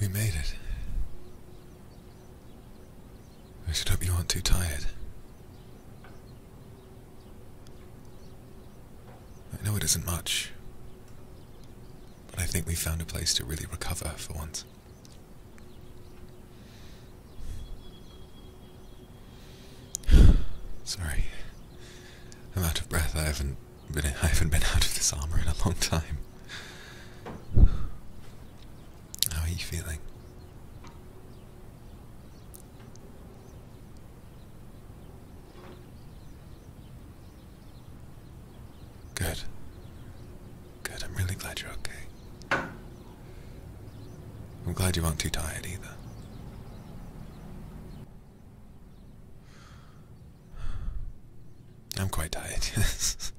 We made it. I should hope you aren't too tired. I know it isn't much, but I think we found a place to really recover for once. Sorry. I'm out of breath. I haven't been I haven't been out of this armor in a long time. How are you feeling? Good. Good, I'm really glad you're okay. I'm glad you aren't too tired either. I'm quite tired, yes.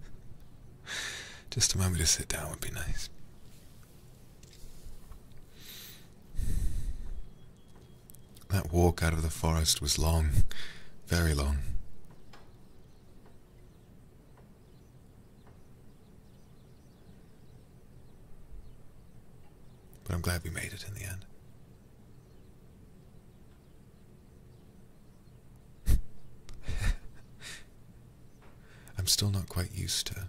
Just a moment to sit down would be nice. That walk out of the forest was long, very long. But I'm glad we made it in the end. I'm still not quite used to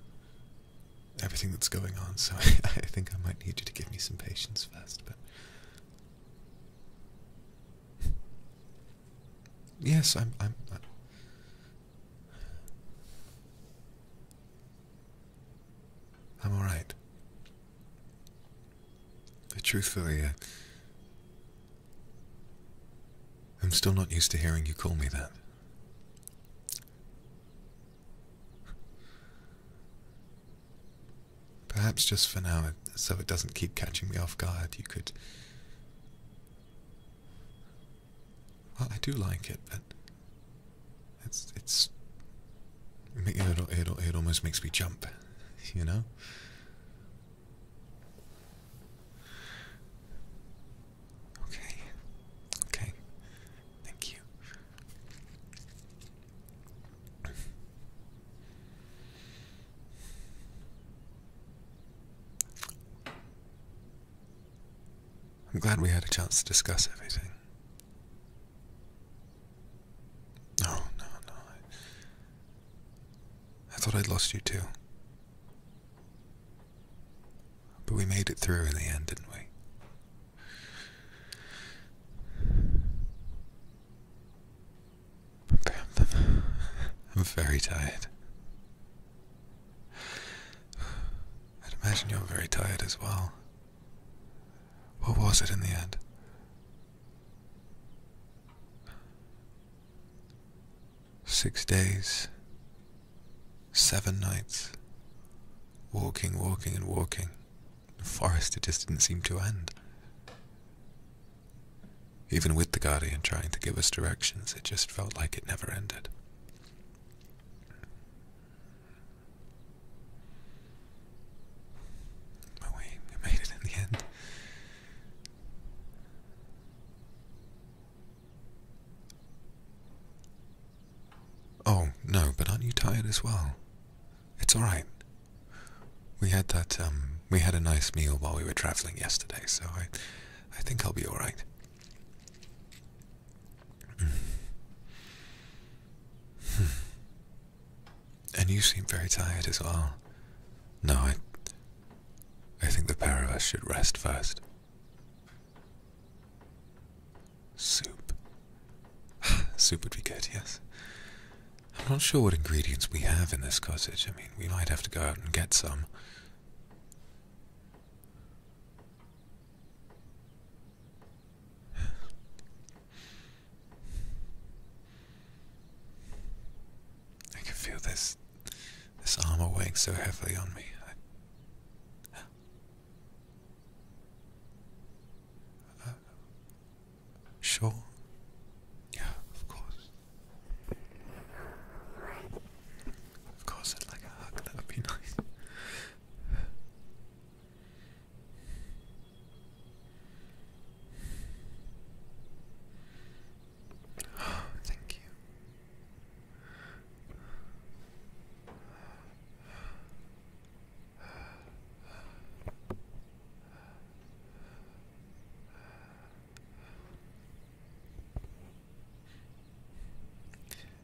everything that's going on, so I, think I might need you to give me some patience first, but yes, I'm. I'm, uh, I'm I'm right. But truthfully, uh, I'm still not used to hearing you call me that. Perhaps just for now, so it doesn't keep catching me off guard, you could well, I do like it, but it's it's it it almost makes me jump, you know. Okay, okay, thank you. I'm glad we had a chance to discuss everything. Oh, no, no. I thought I'd lost you too. But we made it through in the end, didn't we? I'm very tired i imagine you're very tired as well. What was it in the end? Six days, seven nights, walking, walking, and walking. The forest, it just didn't seem to end. Even with the Guardian trying to give us directions, it just felt like it never ended. But we, made it in the end. Oh, no, but aren't you tired as well? It's alright. We had that, um, we had a nice meal while we were traveling yesterday, so I. I think I'll be alright. Hmm. Hmm. and you seem very tired as well. No, I. I think the pair of us should rest first. Soup. Soup would be good, yes. I'm not sure what ingredients we have in this cottage. I mean, we might have to go out and get some. I can feel this this armor weighing so heavily on me. sure. Yeah, of course. Of course, I'd like a hug, that would be nice. thank you.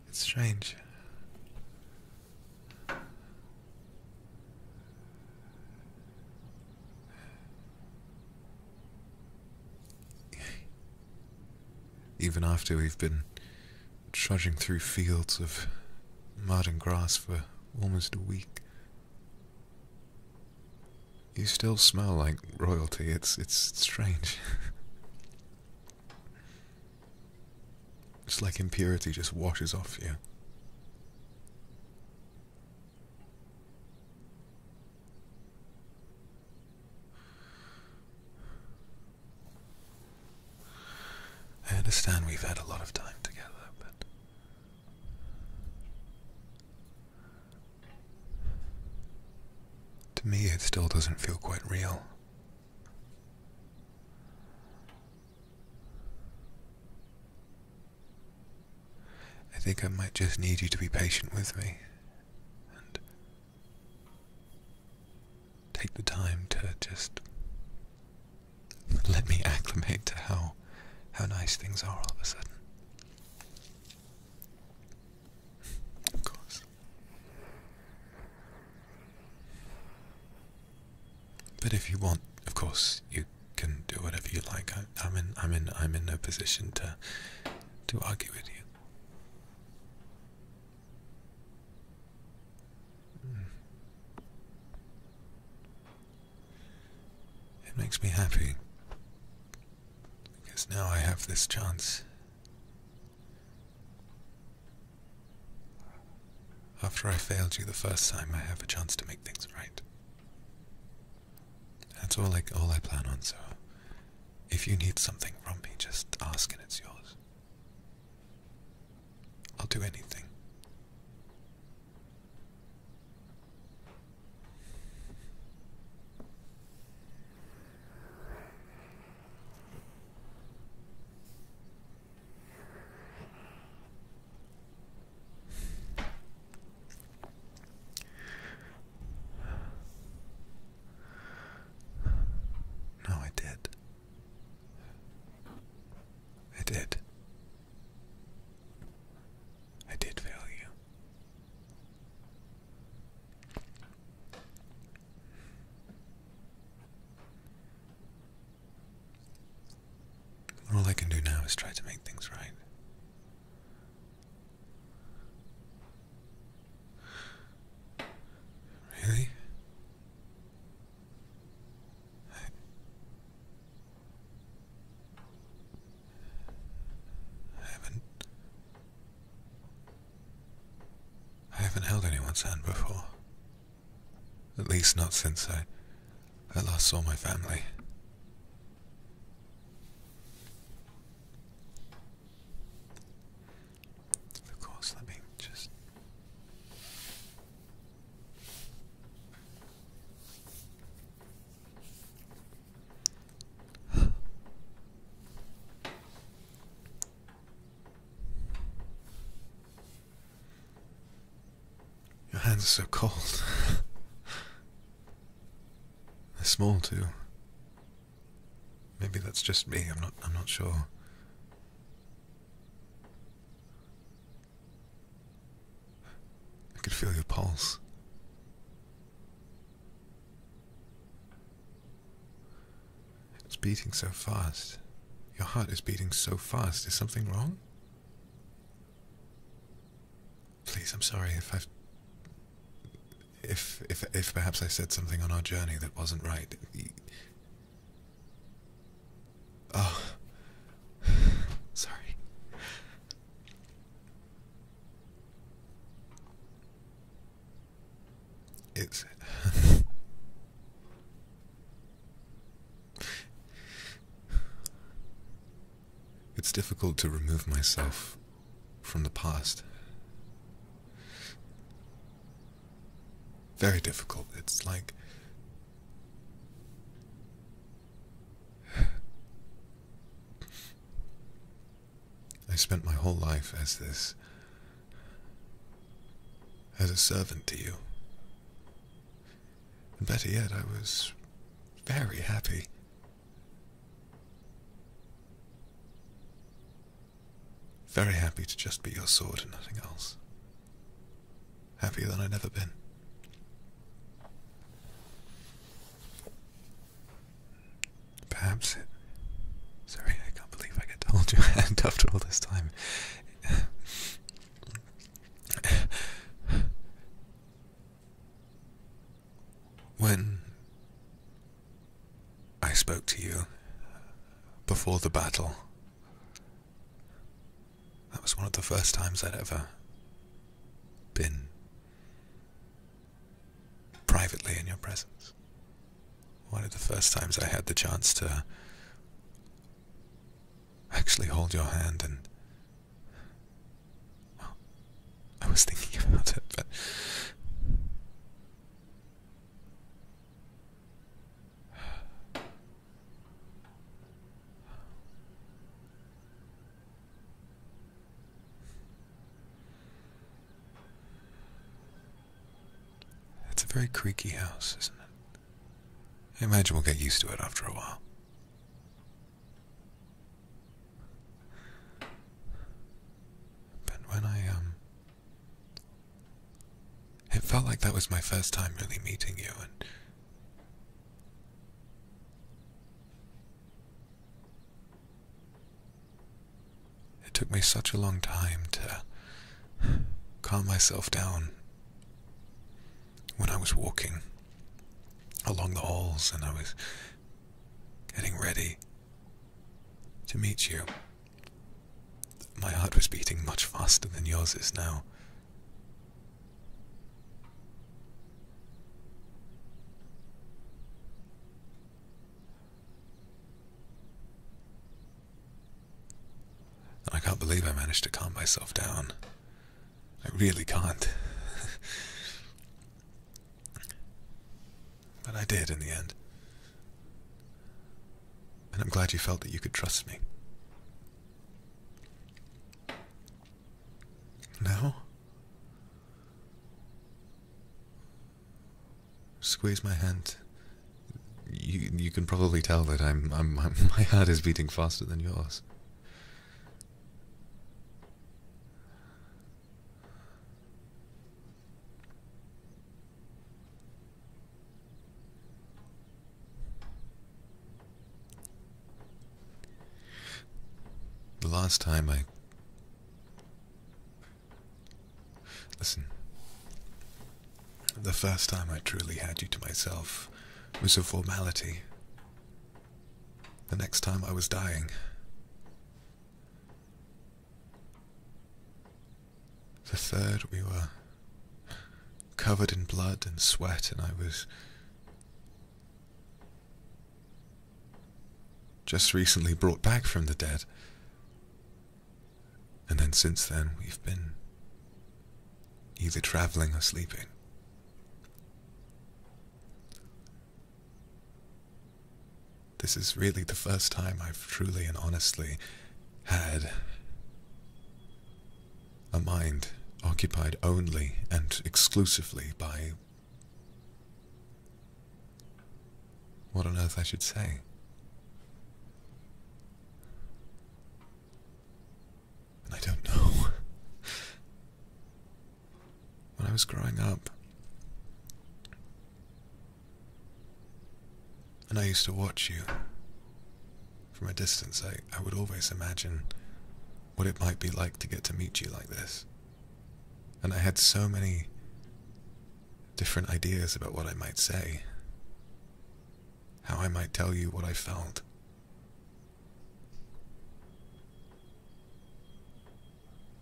It's strange. Even after we've been trudging through fields of mud and grass for almost a week, you still smell like royalty. It's it's strange. it's like impurity just washes off you. I understand we've had a lot of time together, but to me, it still doesn't feel quite real. I think I might just need you to be patient with me and take the time to just let me acclimate to how how nice things are all of a sudden of course. But if you want, of course, you can do whatever you like. I, am in, I'm in, I'm in no position to, to argue with you. Hmm. It makes me happy because now I have this chance. After I failed you the first time, I have a chance to make things right. That's all like all I plan on, so if you need something from me, just ask and it's yours. I'll do anything. No, I did. I did. I did fail you. All I can do now is try to make things right. Really? I haven't. I haven't held anyone's hand before. At least not since I, I last saw my family. Of course, let me just. Your hands are so cold. They're small too. Maybe that's just me. I'm not. I'm not sure. I could feel your pulse. It's beating so fast. Your heart is beating so fast. Is something wrong? Please, I'm sorry if I've. If, if, if perhaps I said something on our journey that wasn't right. Oh. sorry. It's. it's difficult to remove myself from the past. Very difficult. It's like. I spent my whole life as this. as a servant to you. And better yet, I was very happy. Very happy to just be your sword and nothing else. Happier than I'd ever been. Perhaps Sorry, I can't believe I get to hold your hand after all this time. When I spoke to you before the battle, that was one of the first times I'd ever been privately in your presence. One of the first times I had the chance to actually hold your hand and I was thinking about it, but it's a very creaky house, isn't it? I imagine we'll get used to it after a while. But when I, um. It felt like that was my first time really meeting you, and. It took me such a long time to calm myself down when I was walking along the halls and I was getting ready to meet you. My heart was beating much faster than yours is now. And I can't believe I managed to calm myself down. I really can't. but I did in the end. And I'm glad you felt that you could trust me. Now? Squeeze my hand. You you can probably tell that I'm I'm my heart is beating faster than yours. The last time I Listen. The first time I truly had you to myself was a formality. The next time I was dying. The third, we were covered in blood and sweat, and I was just recently brought back from the dead. And then since then, we've been either traveling or sleeping. This is really the first time I've truly and honestly had a mind occupied only and exclusively by what on earth I should say? I don't know. when I was growing up, and I used to watch you from a distance, I, I would always imagine what it might be like to get to meet you like this. And I had so many different ideas about what I might say, how I might tell you what I felt.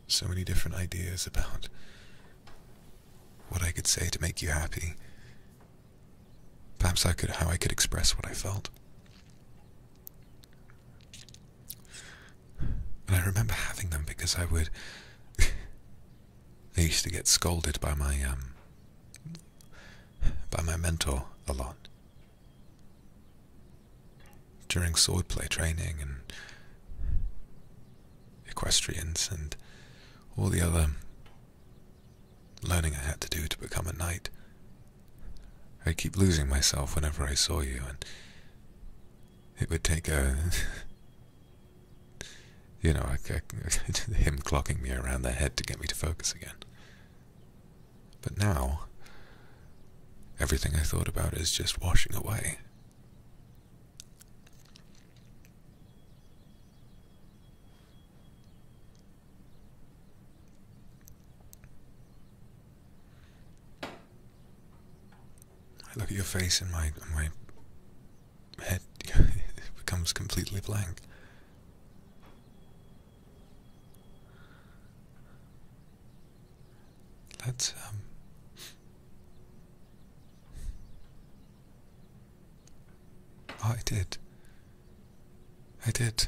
So many different ideas about what I could say to make you happy. Perhaps I could, how I could express what I felt. And I remember having them because I would. I used to get scolded by my um, by my mentor a lot during swordplay training and equestrians and all the other learning I had to do to become a knight. I'd keep losing myself whenever I saw you, and it would take a You know, him clocking me around the head to get me to focus again. But now, everything I thought about is just washing away. I look at your face and my my head becomes completely blank. let um, I did. I did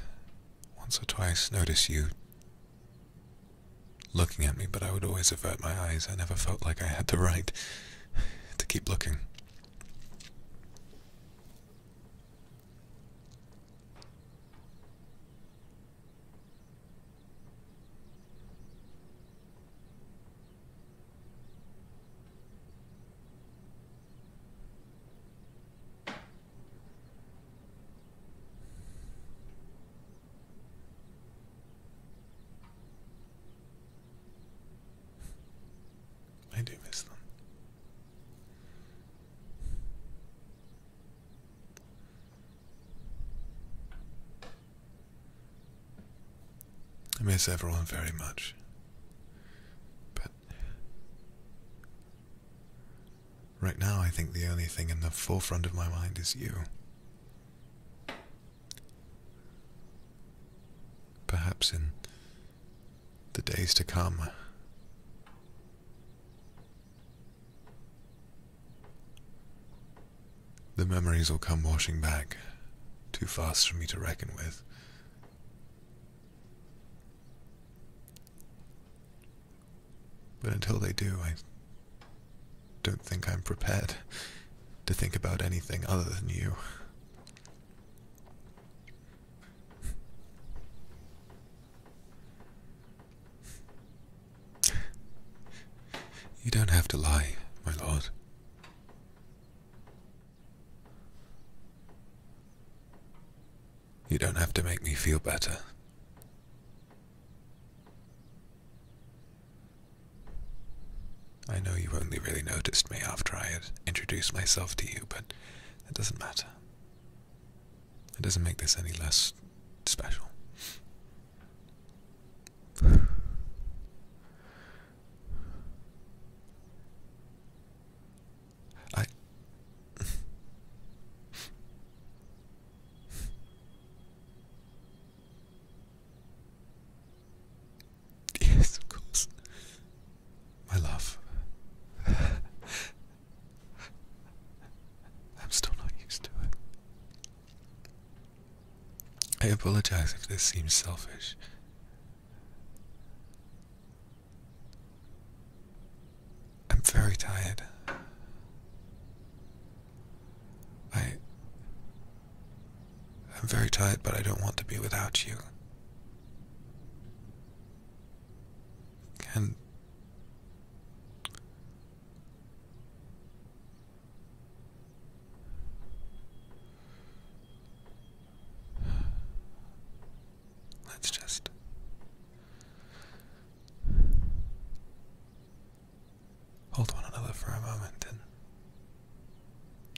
once or twice notice you looking at me, but I would always avert my eyes. I never felt like I had the right to keep looking. I do miss them. I miss everyone very much. But right now, I think the only thing in the forefront of my mind is you. Perhaps in the days to come. The memories will come washing back, too fast for me to reckon with. But until they do, I don't think I'm prepared to think about anything other than you. You don't have to lie, my lord. You don't have to make me feel better. I know you only really noticed me after I had introduced myself to you, but it doesn't matter. It doesn't make this any less special. I. Yes, of course. My love. I'm still not used to it. I apologize if this seems selfish. I'm very tired. I. I'm very tired, but I don't want to be without you. Can. Let's just hold one another for a moment and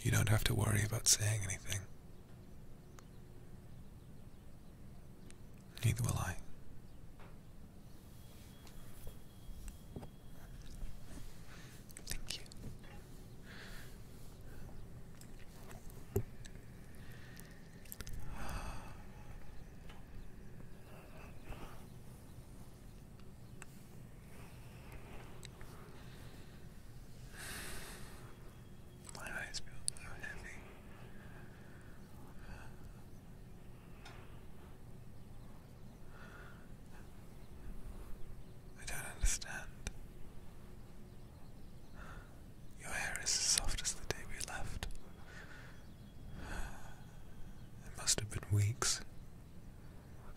you don't have to worry about saying anything. Neither will I. Thank you. My eyes feel so heavy. I don't understand. Your hair is as soft as the day we left. It must have been weeks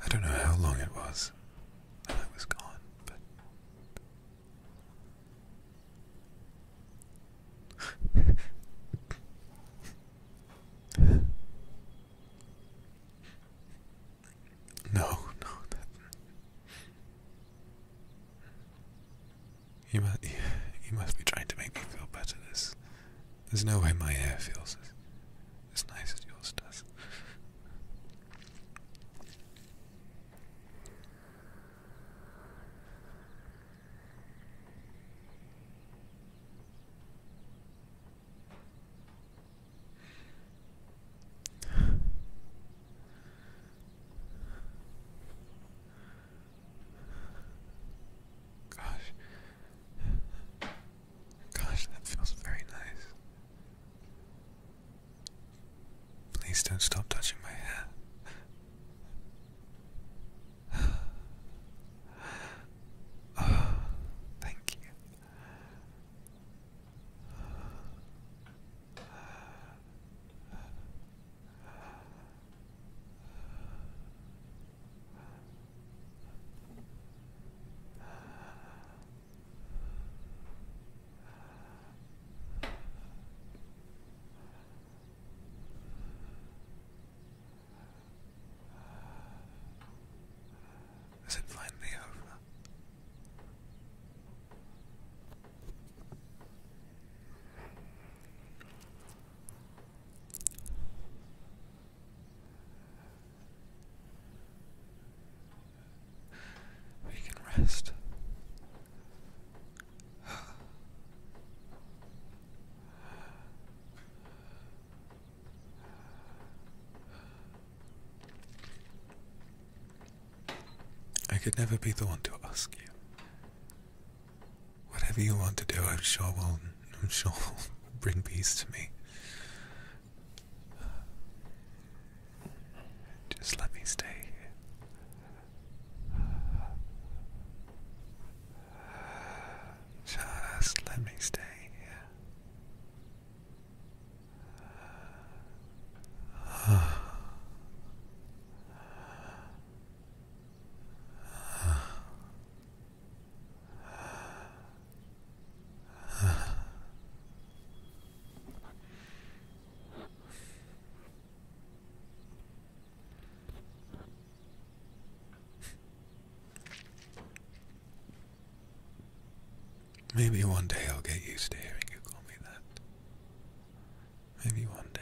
I don't know how long it was that I was gone, but no, no, that you must, you must be trying to make me feel better. There's, there's no way my hair feels as nice as yours does. Gosh, Gosh, that feels very nice. Please don't stop touching my hair. Oh, thank you. Is it finally over? We can rest. I could never be the one to ask you. Whatever you want to do, I'm sure we'll I'm she'll bring peace to me. Just let me stay Just let me stay Maybe one day I'll get used to hearing you call me that. Maybe one day.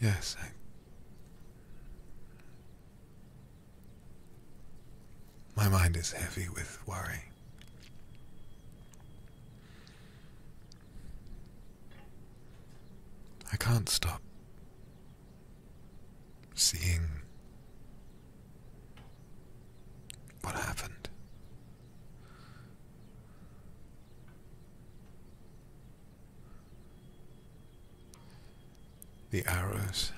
Yes, My mind is heavy with worry. I can't stop seeing what happened. The arrows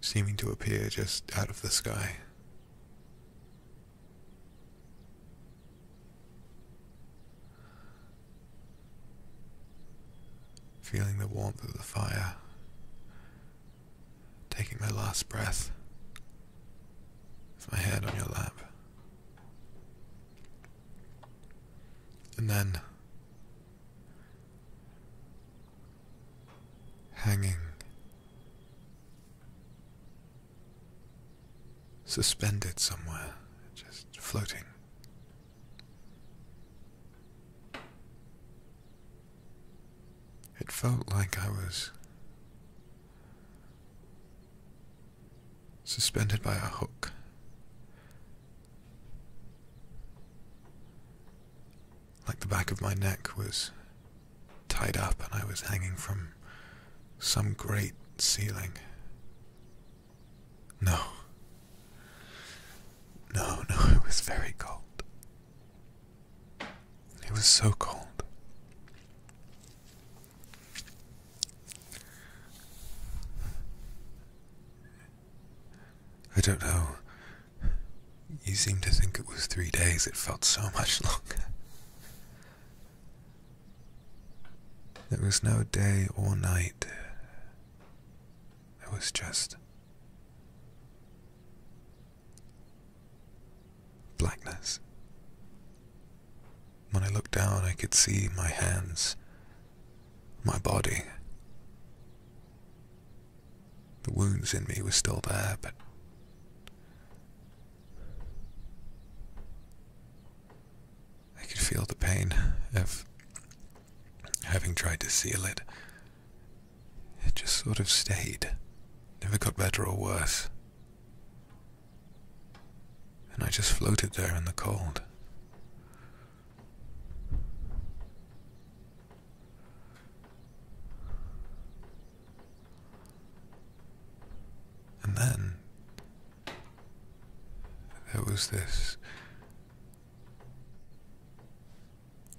seeming to appear just out of the sky. Feeling the warmth of the fire, taking my last breath with my head on your lap. And then hanging, suspended somewhere, just floating it felt like I was suspended by a hook. Like the back of my neck was tied up and I was hanging from some great ceiling. No. No, no, it was very cold. It was so cold. I don't know. You seem to think it was three days, it felt so much longer. There was no day or night it was just blackness. When I looked down, I could see my hands, my body. The wounds in me were still there, but I could feel the pain of having tried to seal it. It just sort of stayed, never got better or worse. And I just floated there in the cold. And then there was this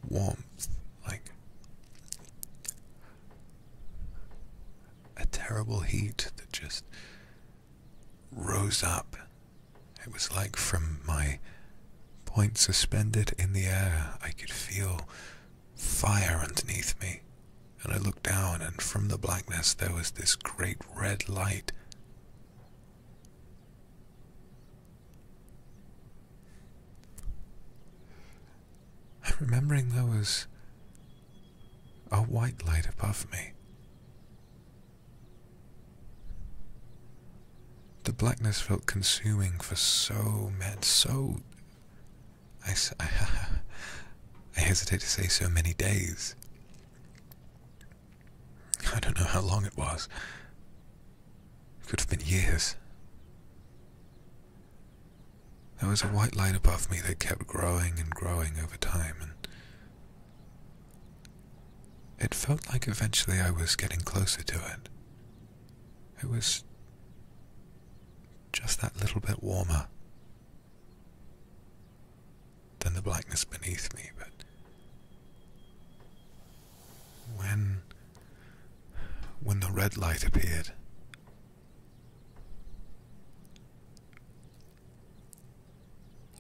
warmth, like a terrible heat that just rose up. It was like from my point suspended in the air, I could feel fire underneath me. And I looked down, and from the blackness there was this great red light I'm remembering there was a white light above me. The blackness felt consuming for so many, so. I, I hesitate to say so many days. I don't know how long it was. It could have been years. There was a white light above me that kept growing and growing over time, and it felt like eventually I was getting closer to it. It was just that little bit warmer than the blackness beneath me, but when when the red light appeared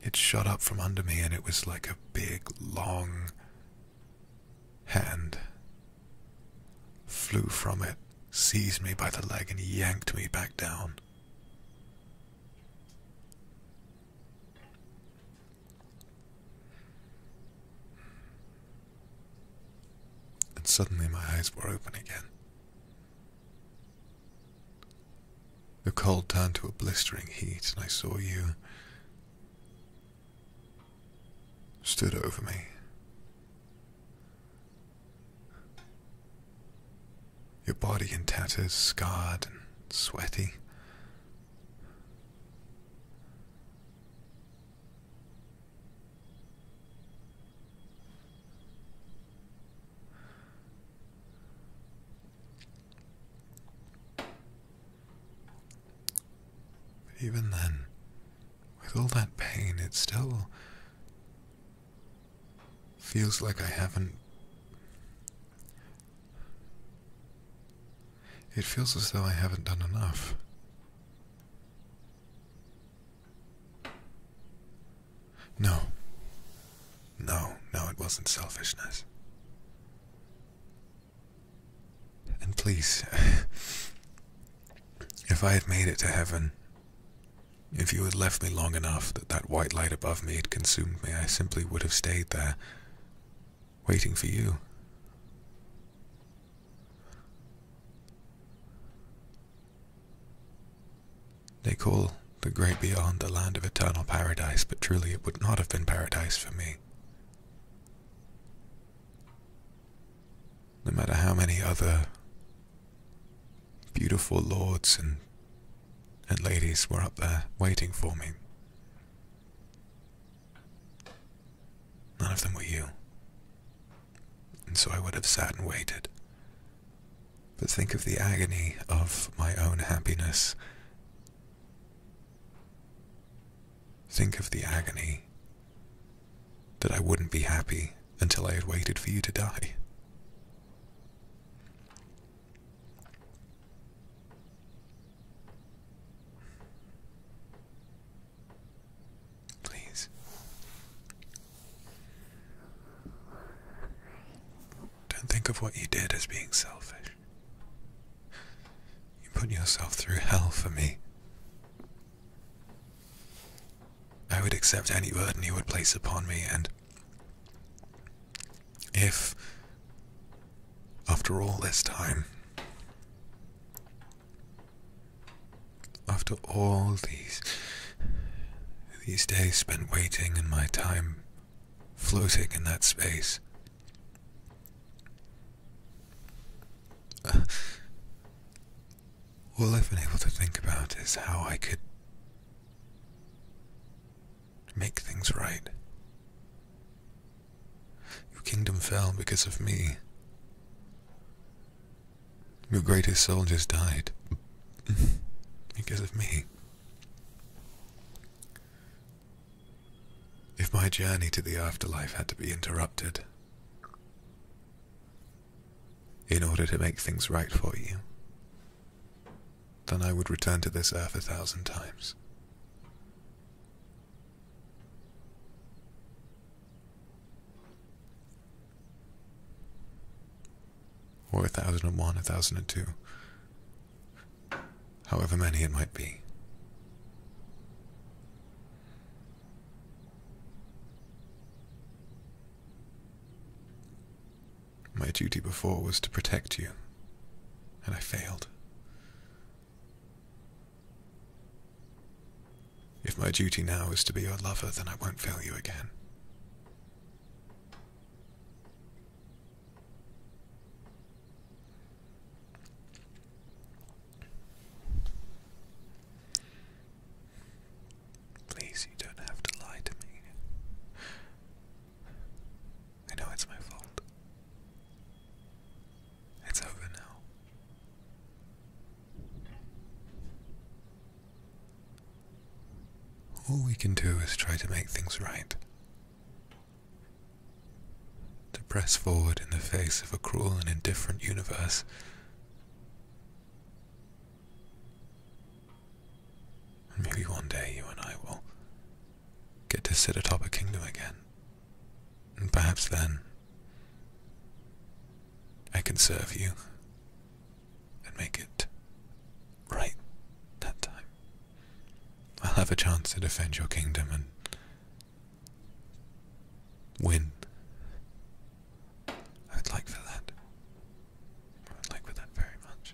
it shot up from under me and it was like a big long hand flew from it seized me by the leg and yanked me back down and suddenly my eyes were open again. The cold turned to a blistering heat, and I saw you stood over me. Your body in tatters, scarred and sweaty. even then, with all that pain, it still feels like I haven't it feels as though I haven't done enough. No. No, no, it wasn't selfishness. And please, if I had made it to heaven, if you had left me long enough that that white light above me had consumed me, I simply would have stayed there waiting for you. They call the great beyond the land of eternal paradise, but truly it would not have been paradise for me. No matter how many other beautiful lords and and ladies were up there waiting for me. None of them were you. And so I would have sat and waited. But think of the agony of my own happiness. Think of the agony that I wouldn't be happy until I had waited for you to die. Please. Don't think of what you did as being selfish. You put yourself through hell for me. I would accept any burden you would place upon me, and if, after all this time, after all these these days spent waiting and my time floating in that space uh, all I've been able to think about is how I could make things right. Your kingdom fell because of me. Your greatest soldiers died because of me. If my journey to the afterlife had to be interrupted in order to make things right for you, then I would return to this earth a thousand times. Or a thousand and one, a thousand and two, however many it might be. My duty before was to protect you, and I failed. If my duty now is to be your lover, then I won't fail you again. Please, you don't have to lie to me. I know it's my fault. It's over now. All we can do is try to make things right. To press forward in the face of a cruel and indifferent universe. maybe one day you and I will get to sit atop a kingdom again. And perhaps then, I can serve you and make it right that time. I'll have a chance to defend your kingdom and win. I would like for that. I would like for that very much.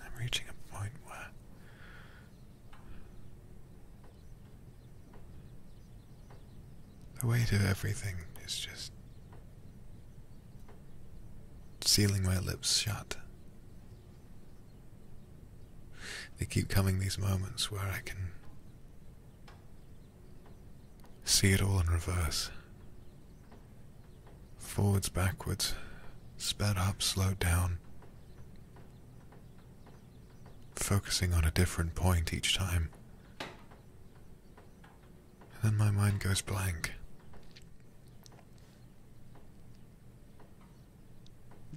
I'm reaching a point where the weight of everything is just sealing my lips shut. They keep coming these moments where I can see it all in reverse. Forwards, backwards, sped up, slowed down. Focusing on a different point each time. then my mind goes blank.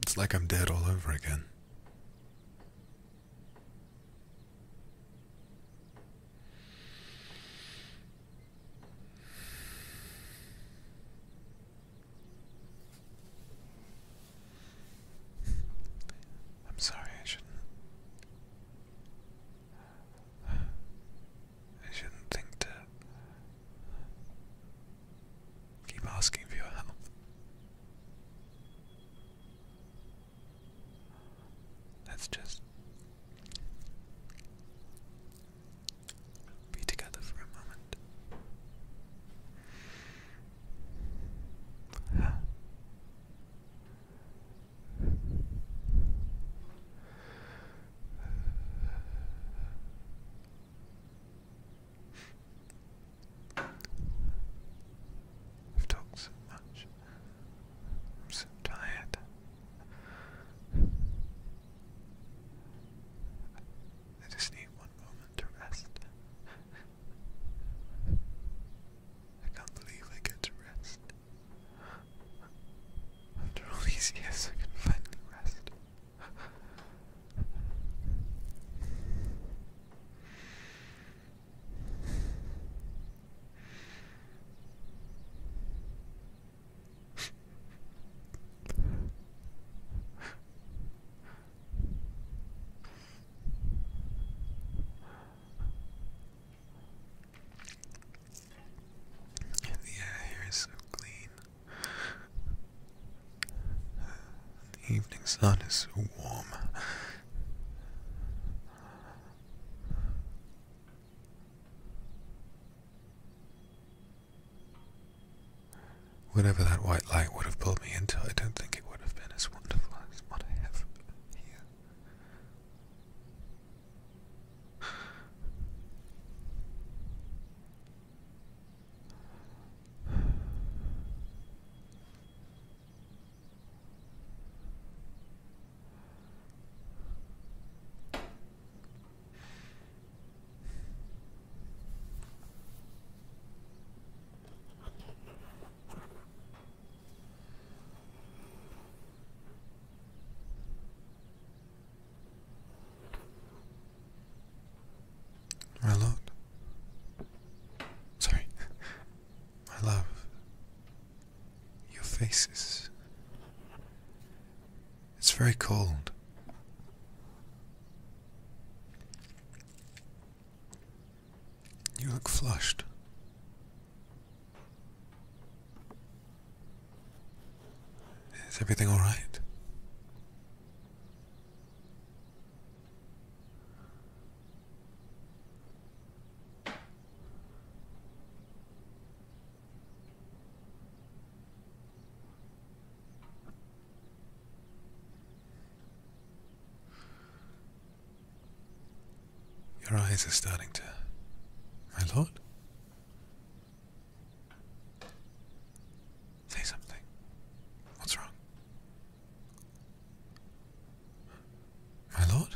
It's like I'm dead all over again. I'm sorry, I shouldn't. I shouldn't think to keep asking for your help. let just be together for a moment. Huh. have talked so much. I'm so tired. I just need one moment to rest. I can't believe I get to rest. After all these years, I can finally rest the air here is so clean. The evening sun is so warm. Whatever that white light would have pulled me into, I don't think it would have been as wonderful as what I have here. My lord. Sorry. My love. Your faces. It's very cold. You look flushed. Is everything all right? Your eyes are starting to. My lord? Say something. What's wrong? My lord?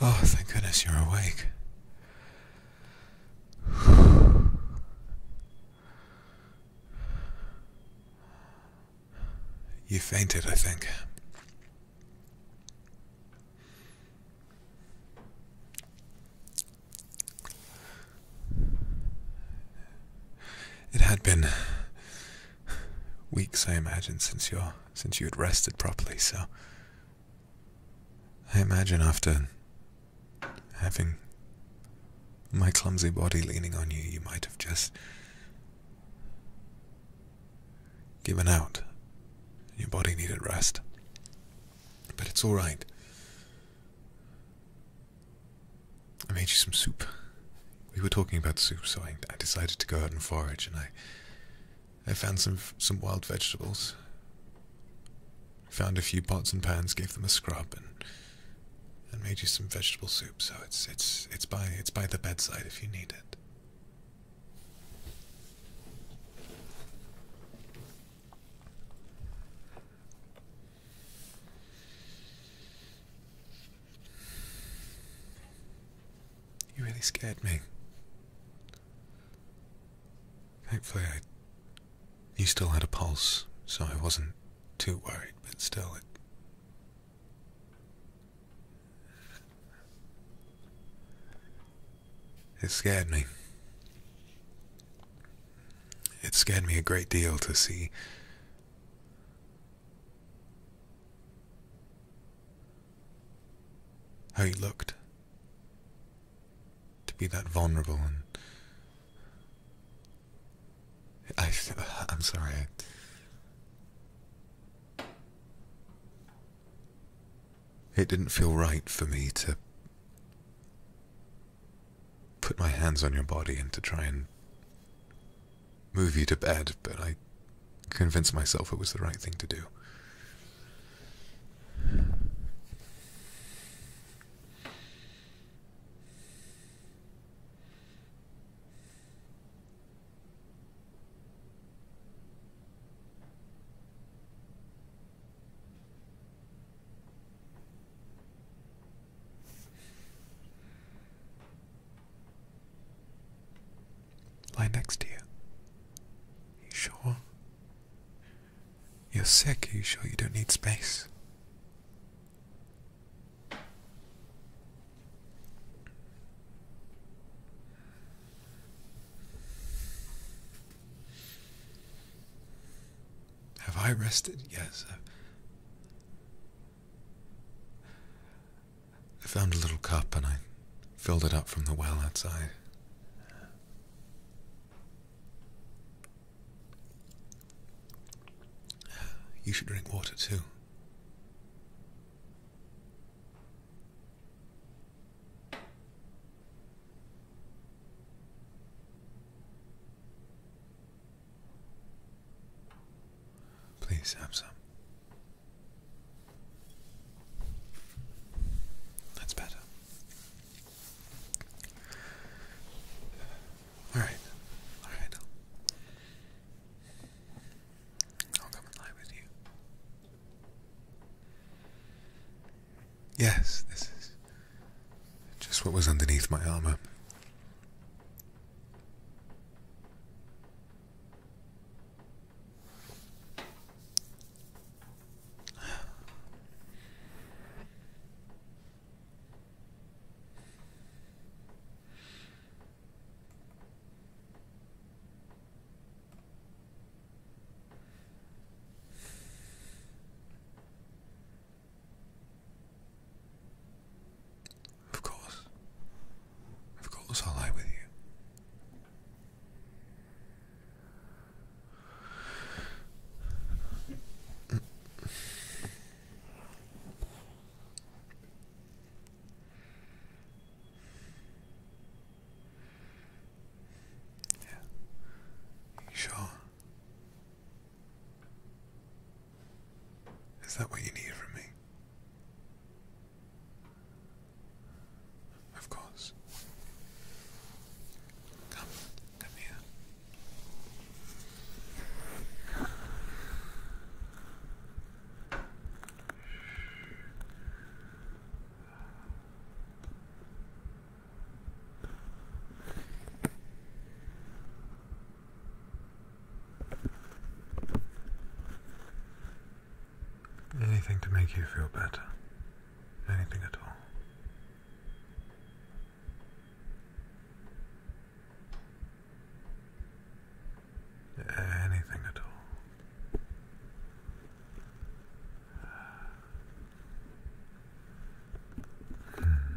Oh, thank goodness you're awake. You fainted, I think. It had been weeks, I imagine, since you since you had rested properly, so I imagine after having my clumsy body leaning on you, you might have just given out. Your body needed rest. But it's alright. I made you some soup. We were talking about soup, so I, decided to go out and forage, and I I found some, some wild vegetables. Found a few pots and pans, gave them a scrub, and and made you some vegetable soup. So it's it's it's by it's by the bedside if you need it. You really scared me. Thankfully, I, he still had a pulse, so I wasn't too worried, but still, it. It scared me. It scared me a great deal to see. How he looked to be that vulnerable and I, I'm sorry. It didn't feel right for me to put my hands on your body and to try and move you to bed, but I convinced myself it was the right thing to do. Lie next to you. You sure you're sick, are you sure you don't need space? Have I rested? Yes. I found a little cup and I filled it up from the well outside. You should drink water too. Please have some. That's better. All right, all right. I'll come and lie with you. Yes, this is just what was underneath my armor. Of course. Of course i lie with you. Yeah. Sure. Is that what you need from me? Of course. Come, come here. Anything to make you feel better anything at all. Anything at all. Hmm.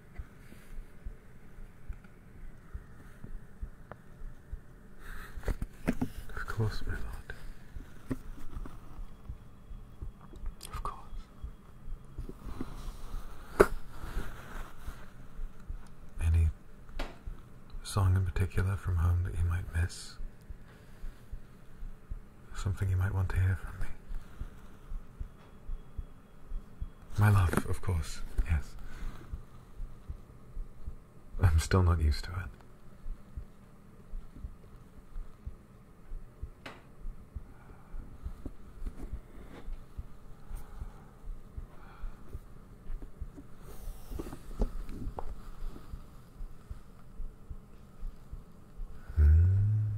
Of course, my lord. Of course. Any song in particular from home that you might miss? Something you might want to hear from me? My love, of course, yes. I'm still not used to it. Hmm.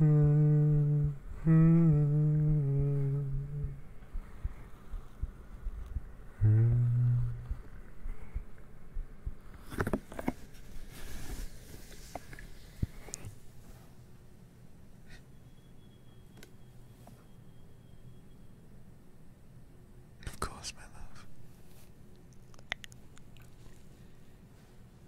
Of course, my love.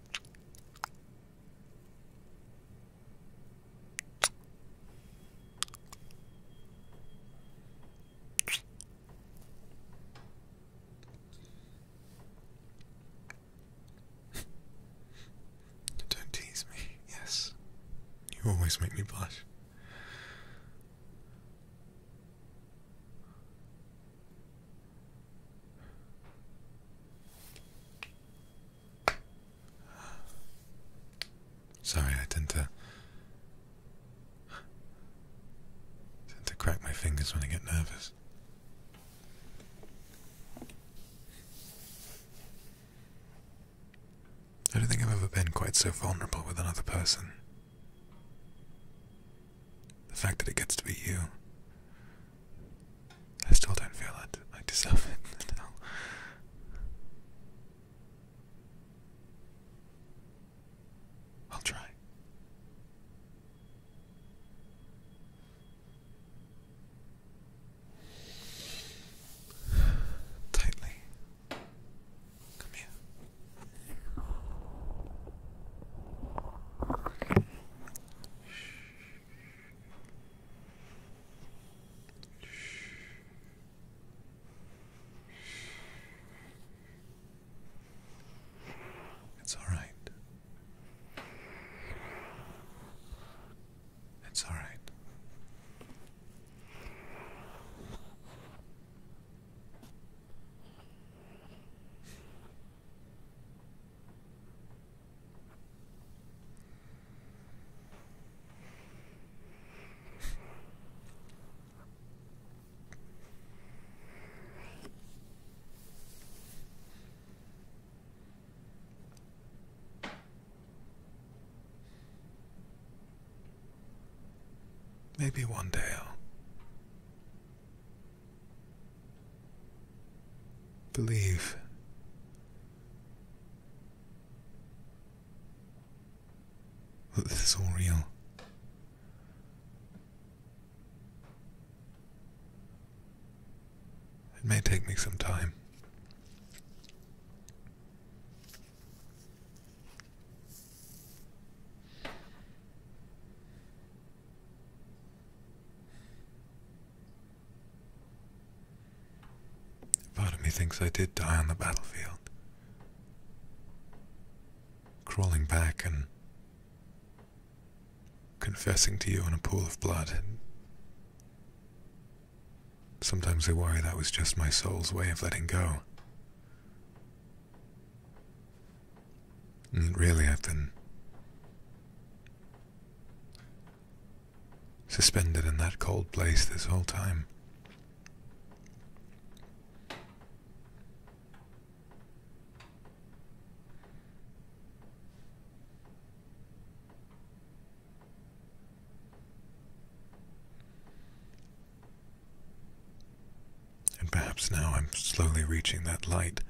Don't tease me, yes. You always make me blush. Sorry, I tend to tend to crack my fingers when I get nervous. I don't think I've ever been quite so vulnerable with another person. The fact that it gets to be you. I still don't feel it. I deserve it I'll try. Tightly. Come here. It's all right. It's all right. Maybe one day I'll Believe. That this is all real. It may take me some time. Part of me thinks I did die on the battlefield. Crawling back and confessing to you in a pool of blood. Sometimes I worry that was just my soul's way of letting go. And really, I've been suspended in that cold place this whole time. And perhaps now I'm slowly reaching that light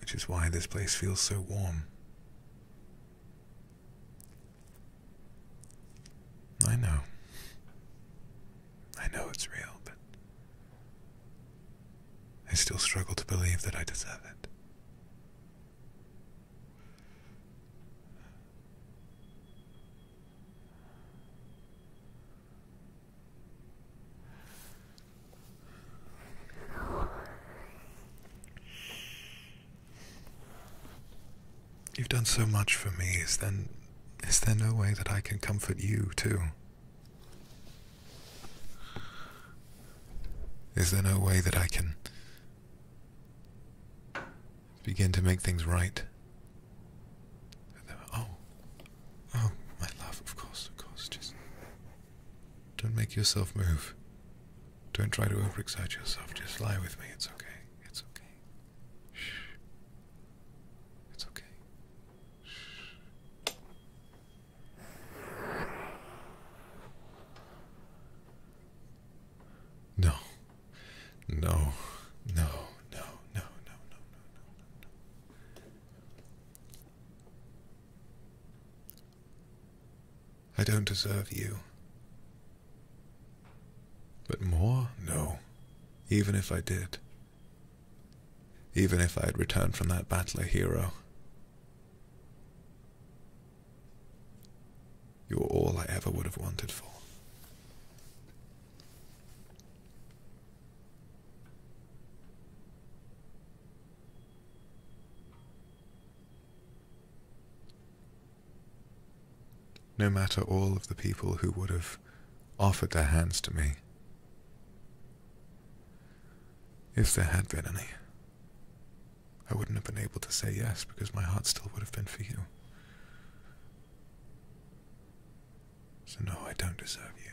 which is why this place feels so warm. I know. I know it's real, but I still struggle to believe that I deserve it. You've done so much for me. Is then is there no way that I can comfort you too? Is there no way that I can begin to make things right? Oh, Oh, my love, of course, of course. Just don't make yourself move. Don't try to overexert yourself. Just lie with me. It's okay. It's okay. Shh. It's okay. Shh. No. No. No. No. No. No. No. No. No. I don't deserve you. But more? No. Even if I did. Even if I had returned from that battle a hero. You were all I ever would have wanted for. No matter all of the people who would have offered their hands to me, if there had been any, I wouldn't have been able to say yes because my heart still would have been for you. So, no, I don't deserve you.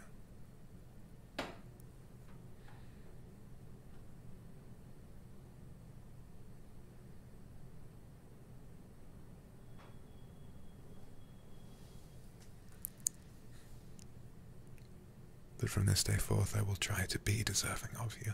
But from this day forth I will try to be deserving of you.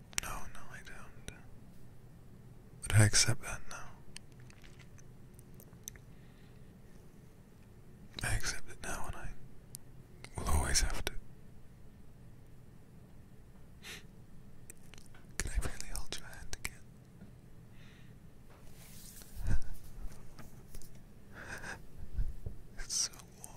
No, no, I don't. But I accept that now. I accept it now, and I will always have to. Can I really hold your hand again? it's so warm.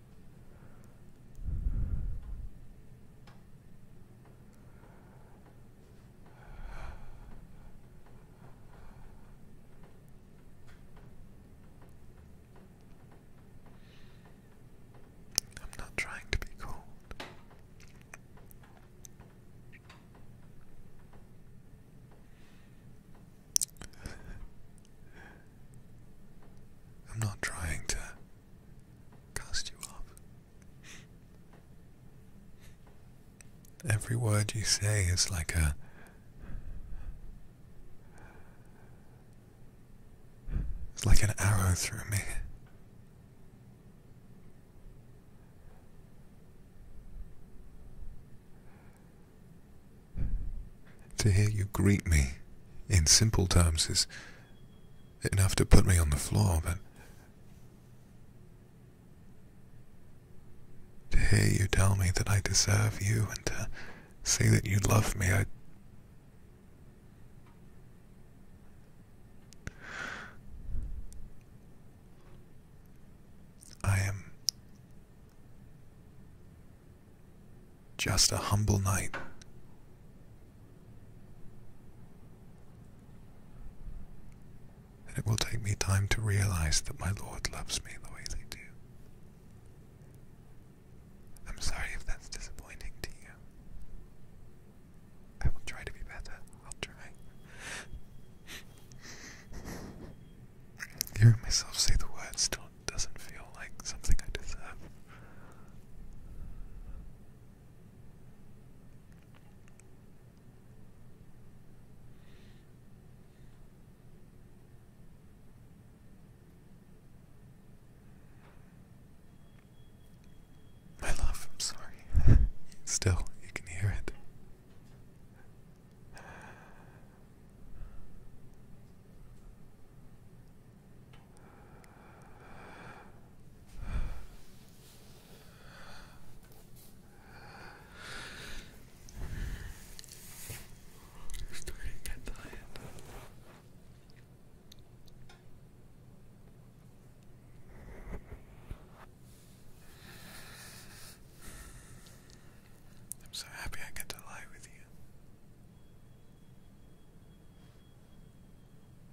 I'm not trying to be cold. I'm not trying to cast you off. Every word you say is like a it's like an arrow through me. To hear you greet me in simple terms is enough to put me on the floor, but to hear you tell me that I deserve you and to say that you love me, I. I am just a humble knight and it will take me time to realize that my Lord loves me the ways I do. I'm sorry if that's disappointing to you. I will try to be better. I'll try. Hearing myself say the word still doesn't feel like something I deserve. My love, I'm sorry. Still, you can hear it. I'm starting to I'm so happy I get to lie with you.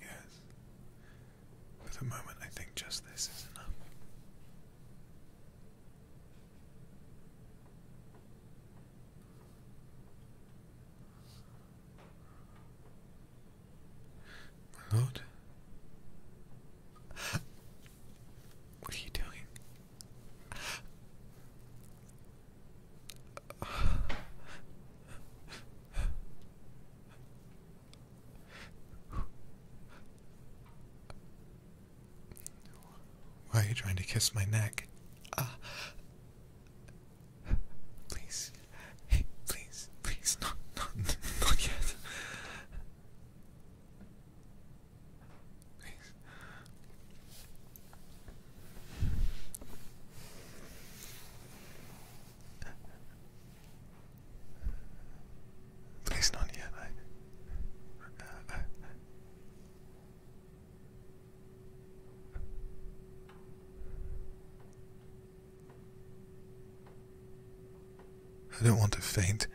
Yes. For the moment, I think just this is enough. My what are you doing? Why are you trying to kiss my neck? Ah. please. Hey, please. Please not not not yet. Thanks. Please not yet. I don't want to faint.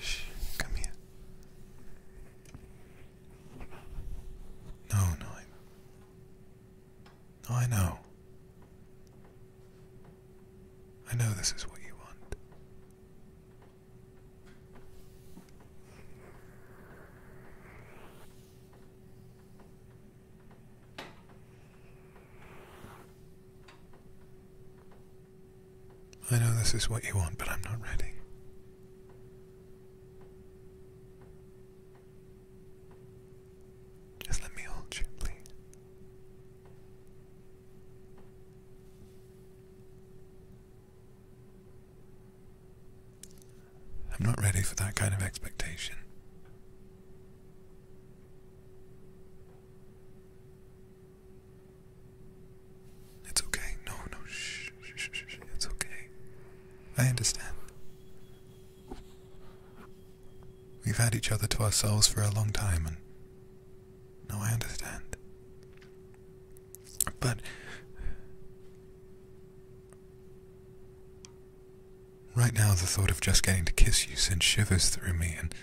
Shh, come here. No, no, I, I know. I know this is what you want. I know this is what you want, but I'm not ready. Just let me hold you, please. I'm not ready for that kind of expectation. It's okay. No, no, shh, shh, shh, It's okay. I understand. We've had each other to ourselves for a long time, and no, I understand. But right now, the thought of just getting to kiss you sends shivers through me, and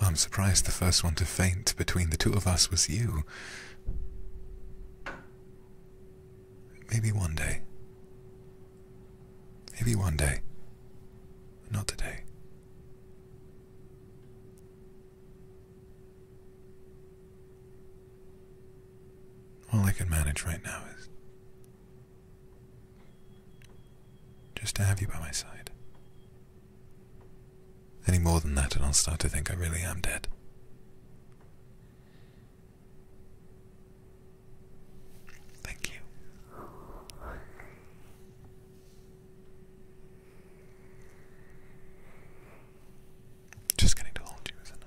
well, I'm surprised the first one to faint between the two of us was you. Maybe one day. Maybe one day. Not today. All I can manage right now is just to have you by my side. Any more than that, and I'll start to think I really am dead. Thank you. Just getting to hold you is enough.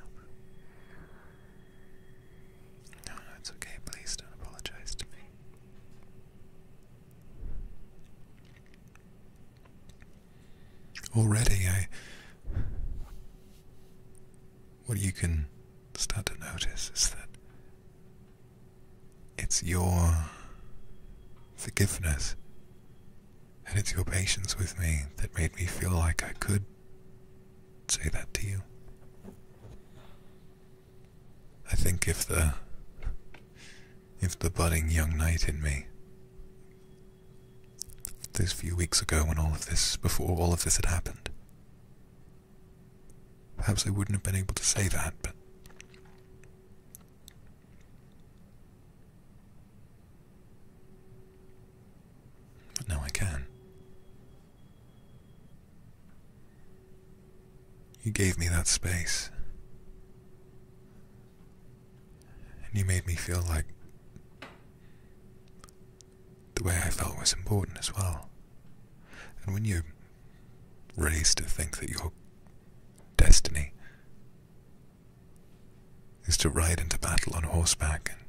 No, no, it's okay. Please don't apologize to me. Already, I. What you can start to notice is that it's your forgiveness and it's your patience with me that made me feel like I could say that to you. I think if the if the budding young knight in me those few weeks ago when all of this before all of this had happened perhaps I wouldn't have been able to say that but now I can. You gave me that space. And you made me feel like the way I felt was important as well. And when you raise to think that your destiny is to ride into battle on horseback and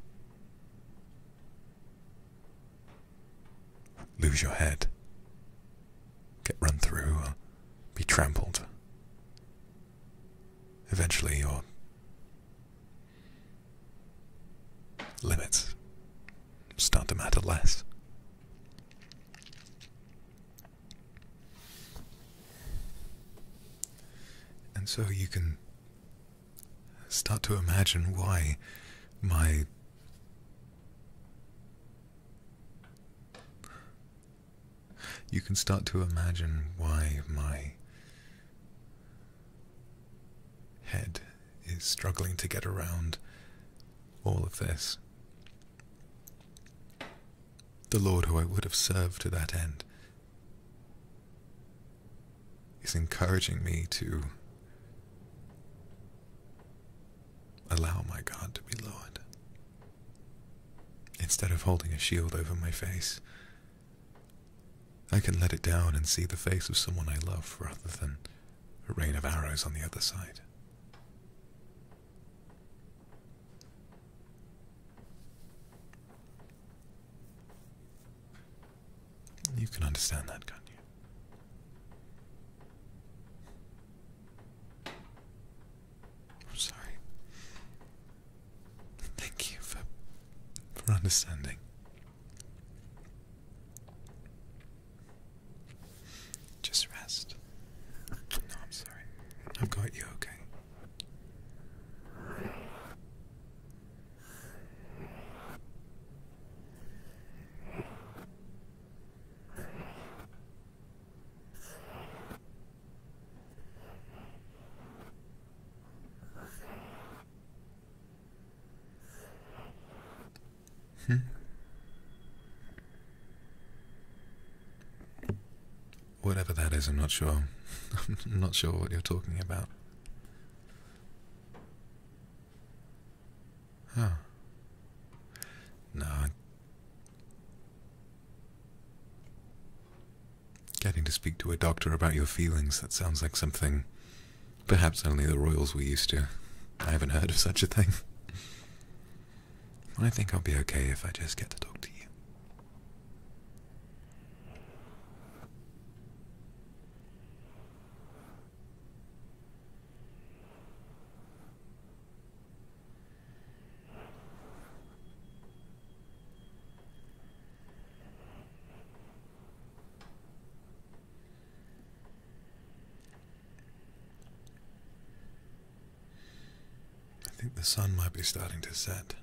lose your head, get run through, be trampled. Eventually, your limits start to matter less. And so you can start to imagine why my you can start to imagine why my head is struggling to get around all of this. The Lord who I would have served to that end is encouraging me to allow my God to be lowered. Instead of holding a shield over my face, I can let it down and see the face of someone I love rather than a rain of arrows on the other side. You can understand that, can't you? I'm sorry. Thank you for for understanding. Just rest. No, I'm sorry. I've got you okay. Hmm. Whatever that is, I'm not sure. I'm not sure what you're talking about. Huh. No, Getting to speak to a doctor about your feelings, that sounds like something perhaps only the royals were used to. I haven't heard of such a thing. I think I'll be okay if I just get to talk to you. I think the sun might be starting to set.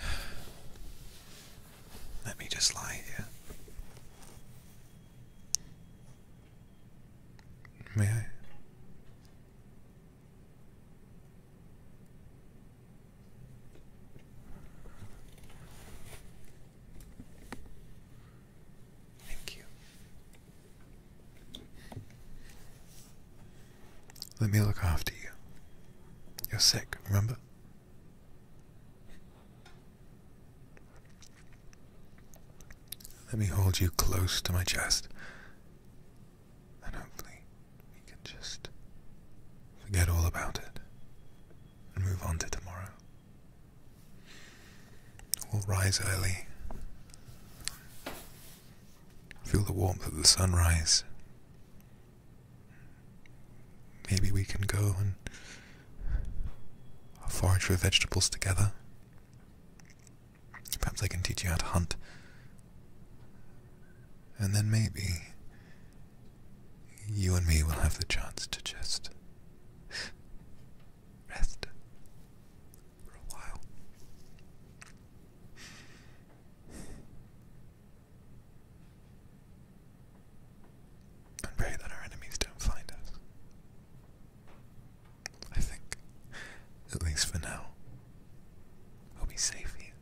Let me just lie here. May I? Thank you. Let me look after you. You're sick, remember? Let me hold you close to my chest. And hopefully, we can just forget all about it and move on to tomorrow. We'll rise early, feel the warmth of the sunrise. Maybe we can go and forage for vegetables together. Perhaps I can teach you how to hunt. And then maybe you and me will have the chance to just rest for a while. And pray that our enemies don't find us. I think. At least for now. We'll be safe here.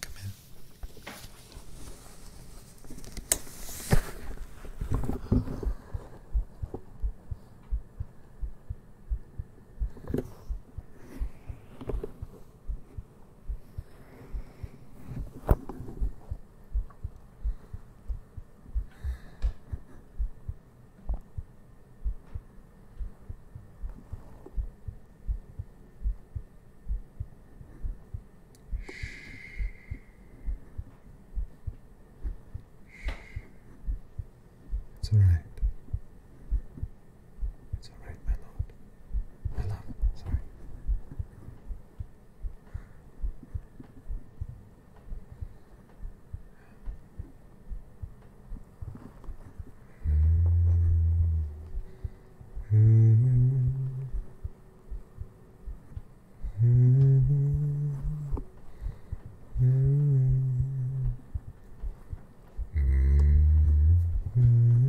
Come in. It's all right. It's alright, my lord. My love, sorry. -hmm. -hmm. -hmm. -hmm. -hmm. -hmm.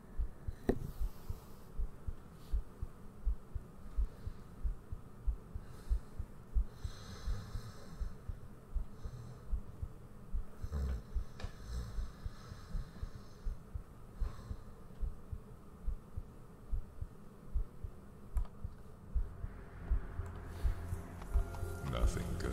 Nothing good.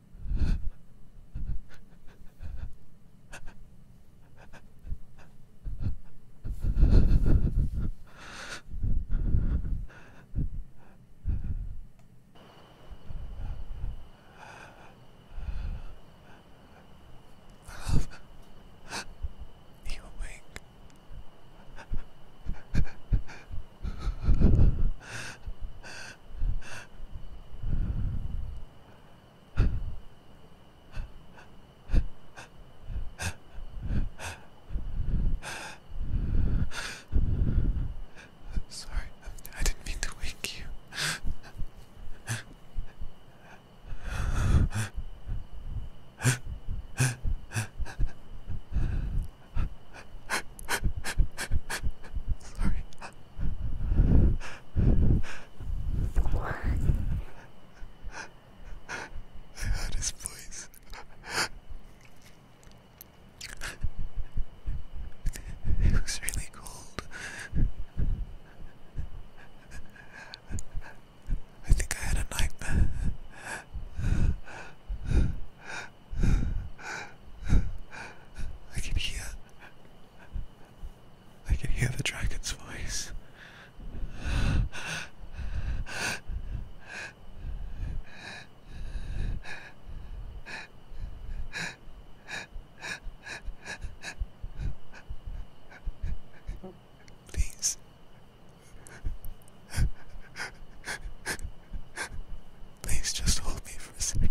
I love you awake. Sorry, I didn't mean to wake you. Sorry, what? That is voice. It was really cold. I think I had a nightmare. I can hear I can hear the dragon's voice. Please. Please just hold me for a second.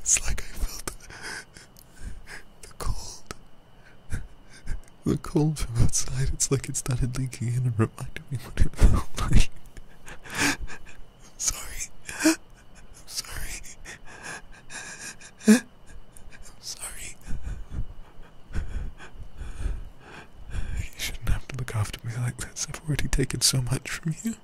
it's like I felt the cold. The cold from outside, it's like it started leaking in and reminded me what it felt like. I'm sorry. I'm sorry. I'm sorry. You shouldn't have to look after me like this. I've already taken so much from you.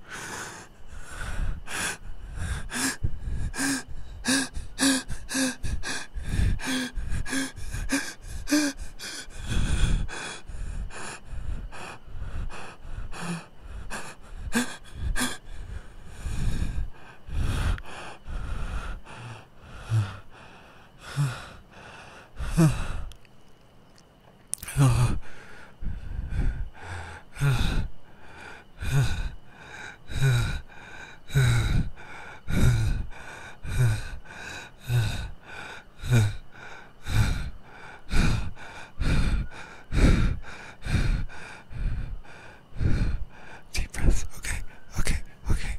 Deep breath. Okay, okay, okay,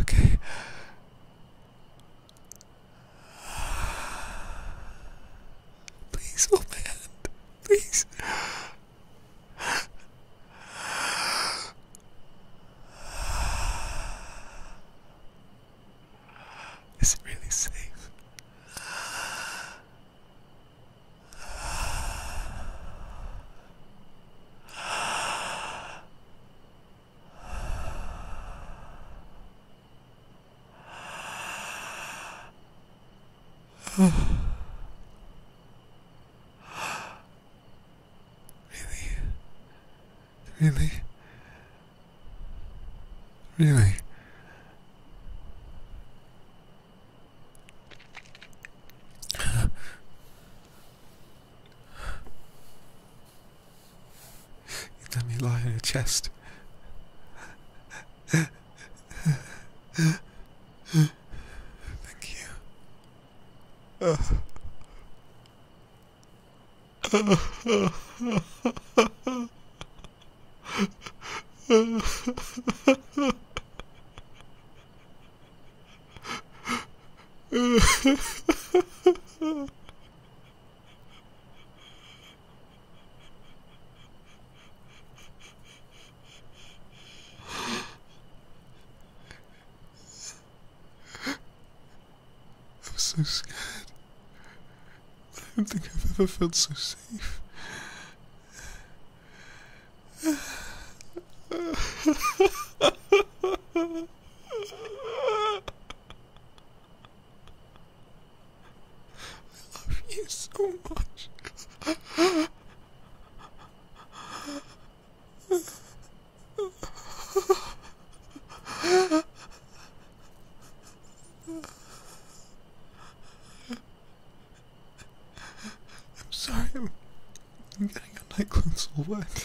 okay. Please, oh man, please. Is it really safe? really? Really? Really? Let me lie on your chest. Thank you. I'm so scared. I don't think I've ever felt so safe. I love you so much. I'm sorry, I'm, getting a nightclub's all wet.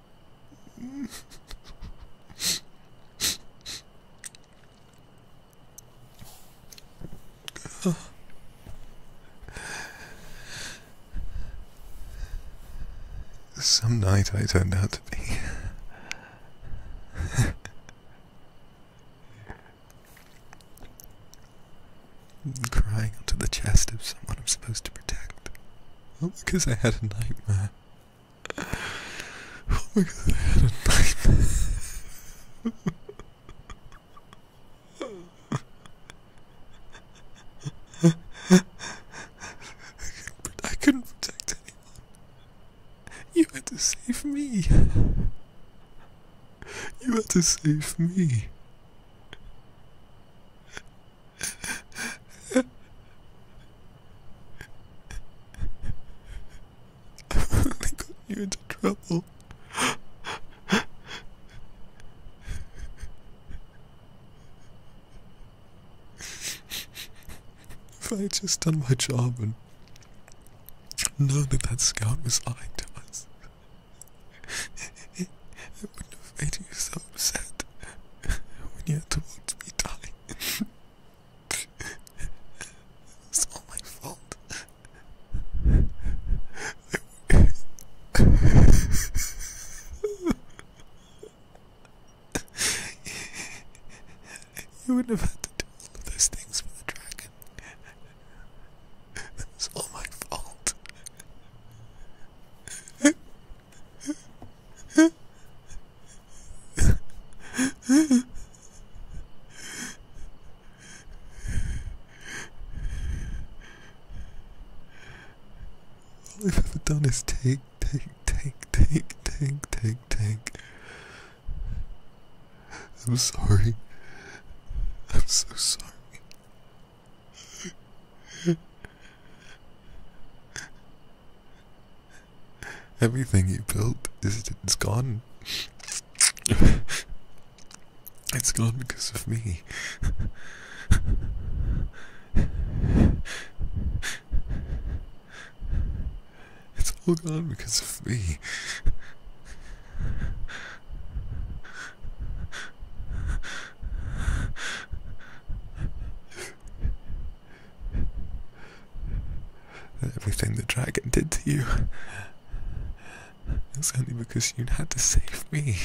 Some night I turned out to be. crying onto the chest of someone I'm supposed to protect. because I had a nightmare. Oh my god, I had a nightmare. I, I couldn't protect anyone. You had to save me. You had to save me. I got you into trouble. if I had just done my job and known that that scout was lying to us, it wouldn't have made you so upset when you had to watch me die it's all my fault. you wouldn't have had to do all those things for the dragon. That all my fault. All I've ever done is take, take, take, take, take, take, take. I'm sorry. I'm so sorry. Everything you built is it's gone. it's gone because of me. It's all gone because of me. Everything the dragon did to you. It's only because you had to save me.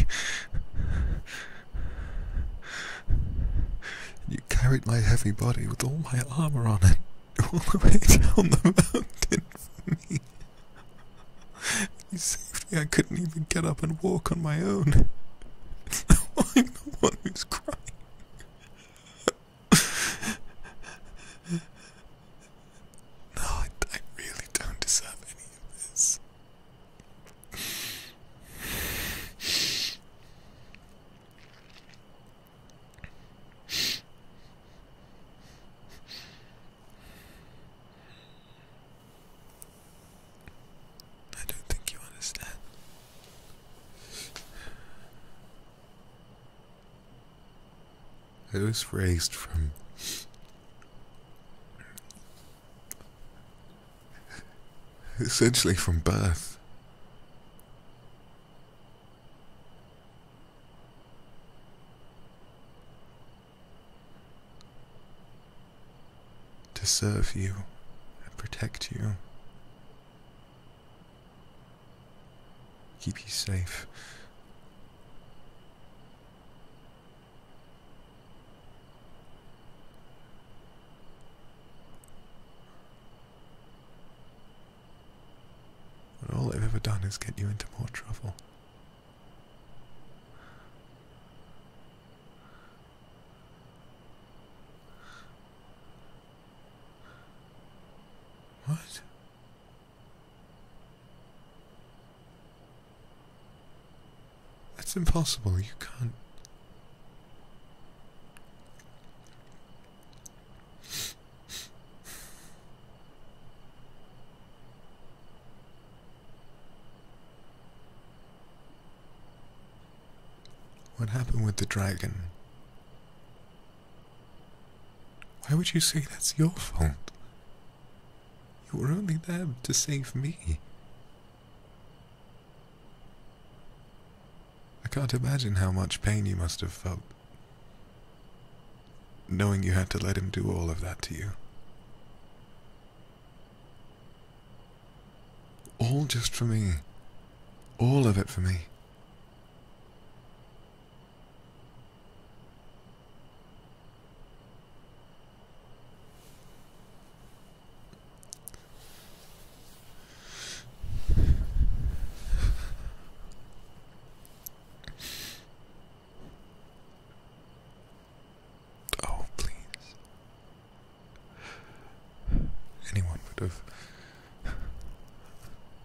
You carried my heavy body with all my armor on it all the way down the mountain for me. You saved me, I couldn't even get up and walk on my own. I'm the one who's crying. no, I, really don't deserve any of this. I don't think you understand. I was raised from essentially from birth. To serve you and protect you Keep you safe. And all I've ever done is get you into more trouble. What? That's impossible. You can't. What happened with the dragon? Why would you say that's your fault? You were only there to save me. I can't imagine how much pain you must have felt, knowing you had to let him do all of that to you. All just for me. All of it for me. Oh, please. Anyone would have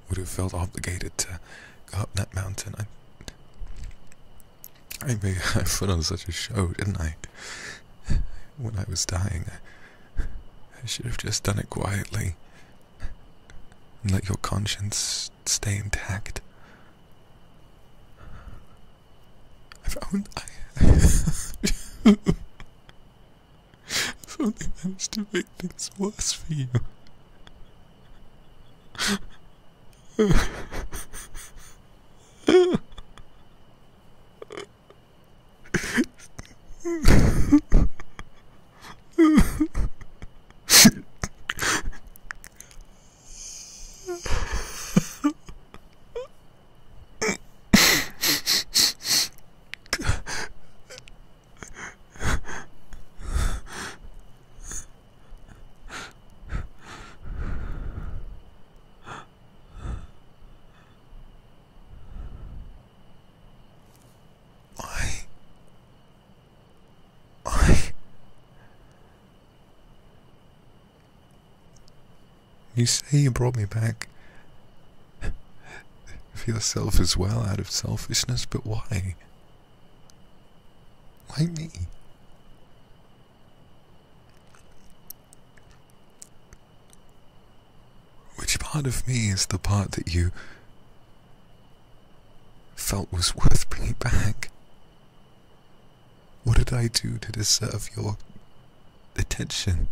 would have felt obligated to go up that mountain. I I mean, put on such a show, didn't I? When I was dying, I should have just done it quietly. And let your conscience stay intact. I found I I've only managed to make things worse for you. You say you brought me back for yourself as well out of selfishness, but why? Why me? Which part of me is the part that you felt was worth bringing back? What did I do to deserve your attention?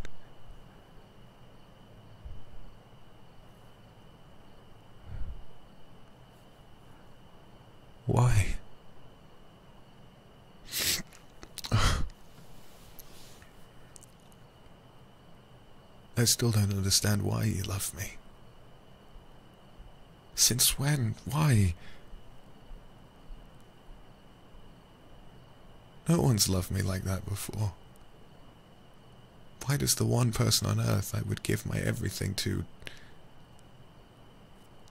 Why? I still don't understand why you love me. Since when? Why? No one's loved me like that before. Why does the one person on earth I would give my everything to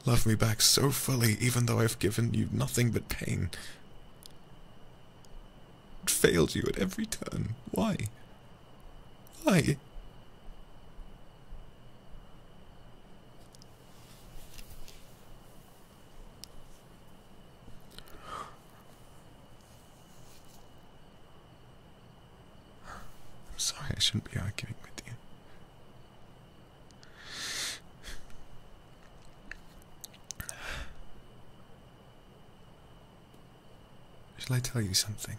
love me back so fully, even though I've given you nothing but pain? Failed you at every turn. Why? Why? I'm sorry, I shouldn't be arguing with you. Shall I tell you something?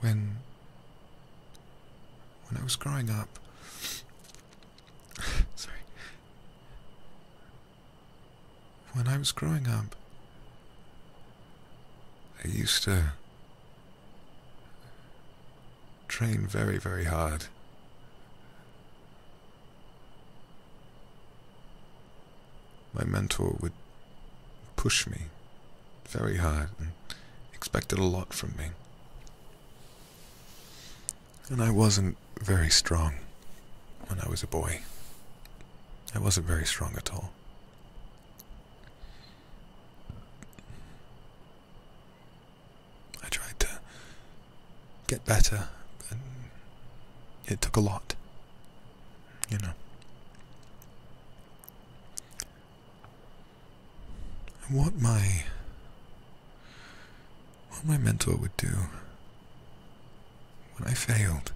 when when I was growing up sorry when I was growing up I used to train very very hard my mentor would push me very hard and expected a lot from me. And I wasn't very strong when I was a boy. I wasn't very strong at all. I tried to get better, but it took a lot, you know what my what my mentor would do when I failed.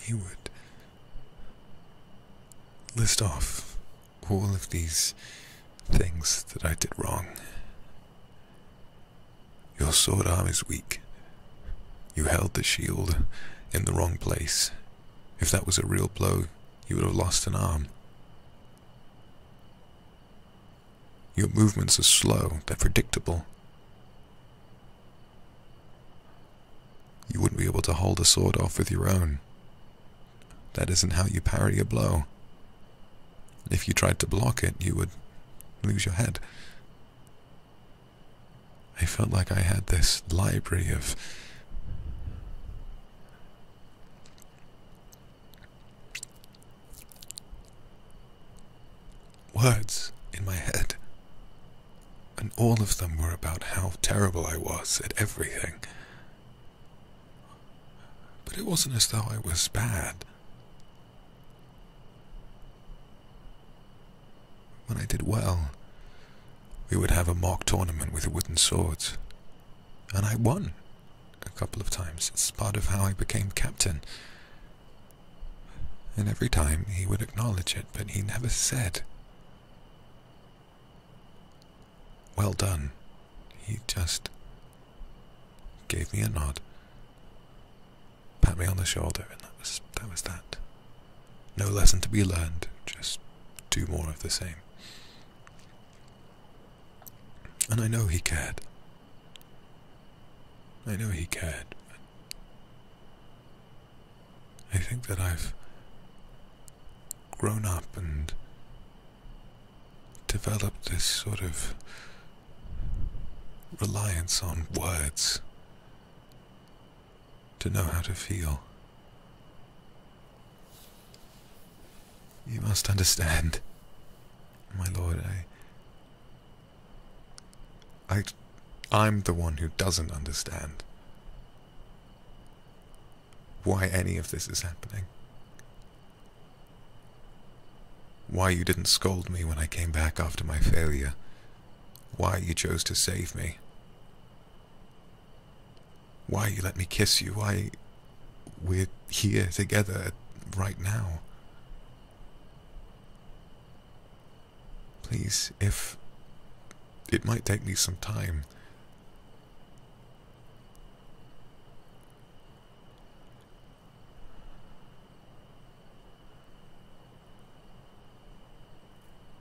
He would list off all of these things that I did wrong your sword arm is weak. You held the shield in the wrong place. If that was a real blow, you would have lost an arm. Your movements are slow, they're predictable. You wouldn't be able to hold a sword off with your own. That isn't how you parry a blow. If you tried to block it, you would lose your head. I felt like I had this library of words in my head. And all of them were about how terrible I was at everything. But it wasn't as though I was bad. When I did well, we would have a mock tournament with wooden swords. And I won a couple of times. It's part of how I became captain. And every time he would acknowledge it, but he never said, Well done. He just gave me a nod Pat me on the shoulder, and that was that. No lesson to be learned, just do more of the same. And I know he cared. I know he cared. I think that I've grown up and developed this sort of reliance on words to know how to feel. You must understand, my lord, I... I... I'm the one who doesn't understand why any of this is happening. Why you didn't scold me when I came back after my failure. Why you chose to save me. Why you let me kiss you. Why we're here together right now. Please, if it might take me some time.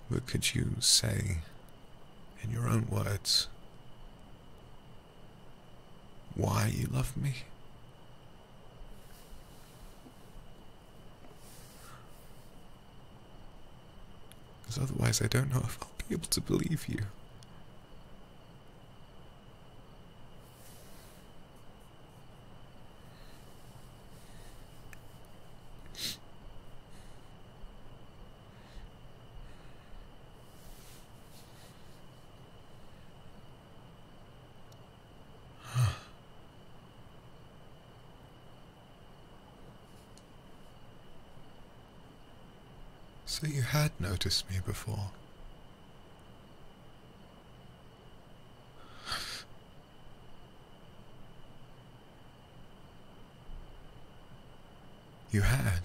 What could you say in your own words? Why you love me? Because otherwise, I don't know if I'll be able to believe you. So you had noticed me before. You had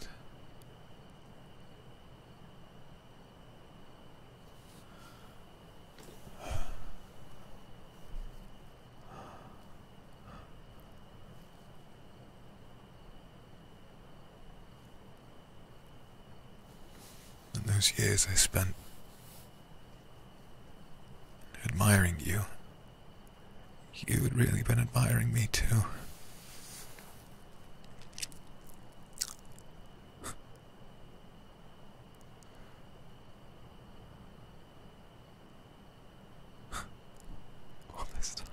and those years I spent admiring you. You had really been admiring me too. All this time.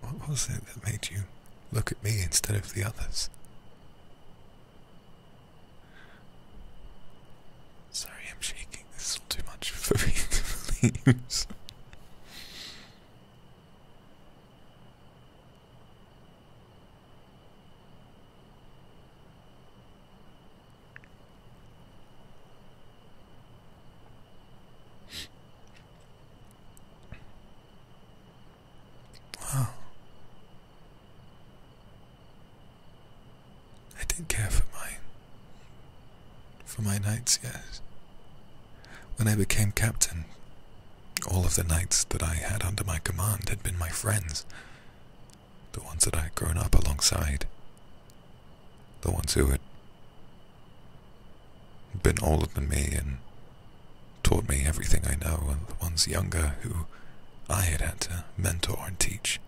What was it that made you look at me instead of the others? Sorry, I'm shaking. This is all too much for me to believe. I did care for my for my knights, yes. When I became captain, all of the knights that I had under my command had been my friends. The ones that I had grown up alongside. The ones who had been older than me and taught me everything I know, and the ones younger who I had had to mentor and teach.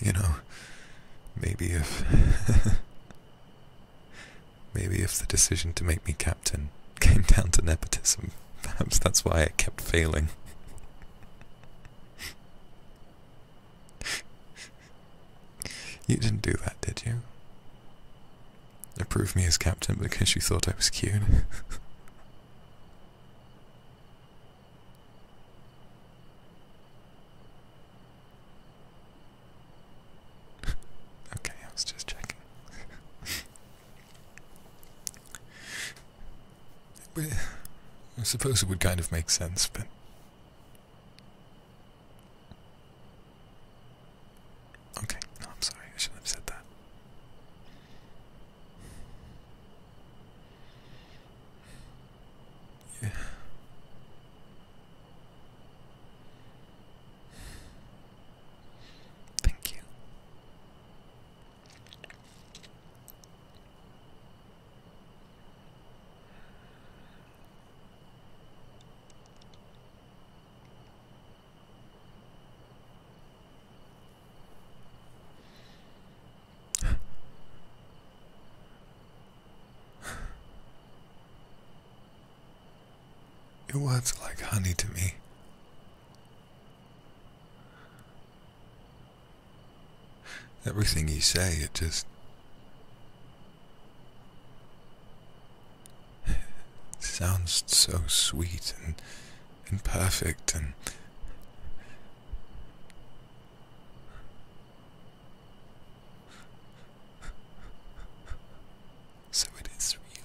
You know, maybe if. maybe if the decision to make me captain came down to nepotism. Perhaps that's why it kept failing. you didn't do that, did you? Approve me as captain because you thought I was cute. okay, I was just checking. I suppose it would kind of make sense, but. Okay, I'm sorry, I shouldn't have said that. Yeah. Thank you it was like honey to me. Everything you say, it just. sounds so sweet and, and perfect and. so it is real.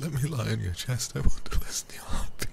Let me lie on your chest. I want to listen to your heartbeat.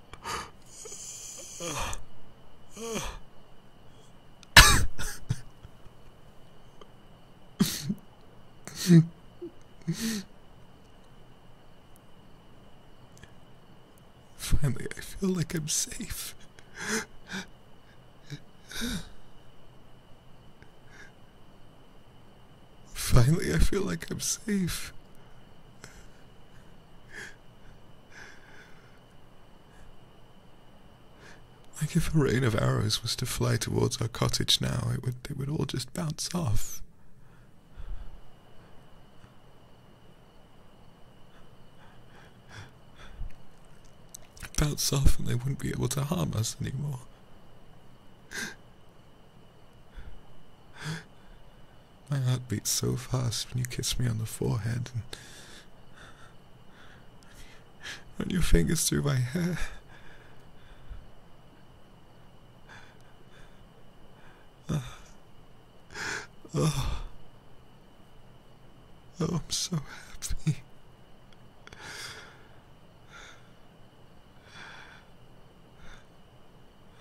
Finally, I feel like I'm safe. Finally, I feel like I'm safe. Like if a rain of arrows was to fly towards our cottage now, it would they would all just bounce off. Bounce off and they wouldn't be able to harm us anymore. My heart beats so fast when you kiss me on the forehead and run your fingers through my hair. oh. oh, oh I'm so happy.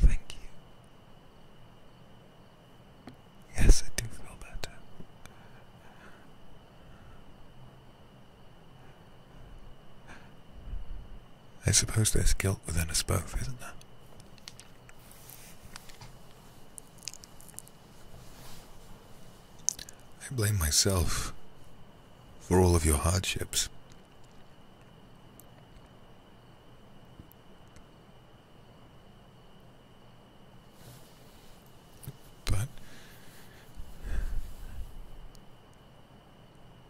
Thank you. Yes, I do feel better. I suppose there's guilt within us both, isn't there? I blame myself for all of your hardships. But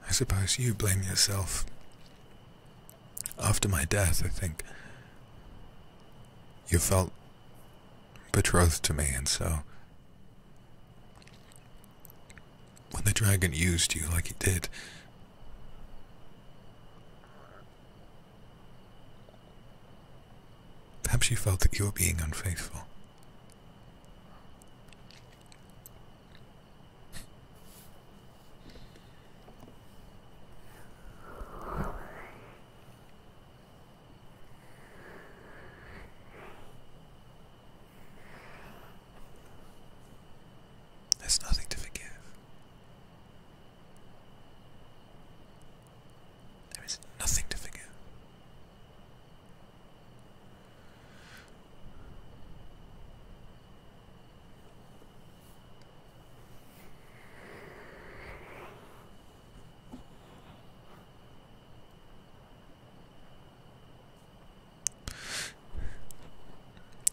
I suppose you blame yourself. After my death, I think you felt betrothed to me, and so when the dragon used you like he did, perhaps you felt that you were being unfaithful. There's nothing to forgive. There is nothing to forgive.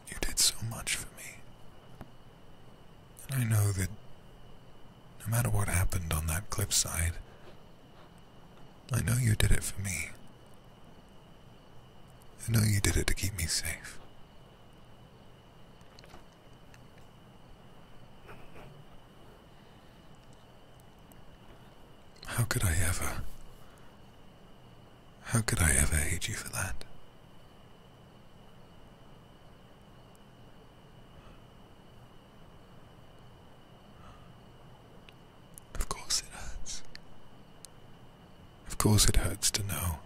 You did so much for me. And I know that no matter what happened on that cliffside, I know you did it for me. I know you did it to keep me safe. How could I ever. How could I ever hate you for that? Of course it hurts. Of course it hurts to know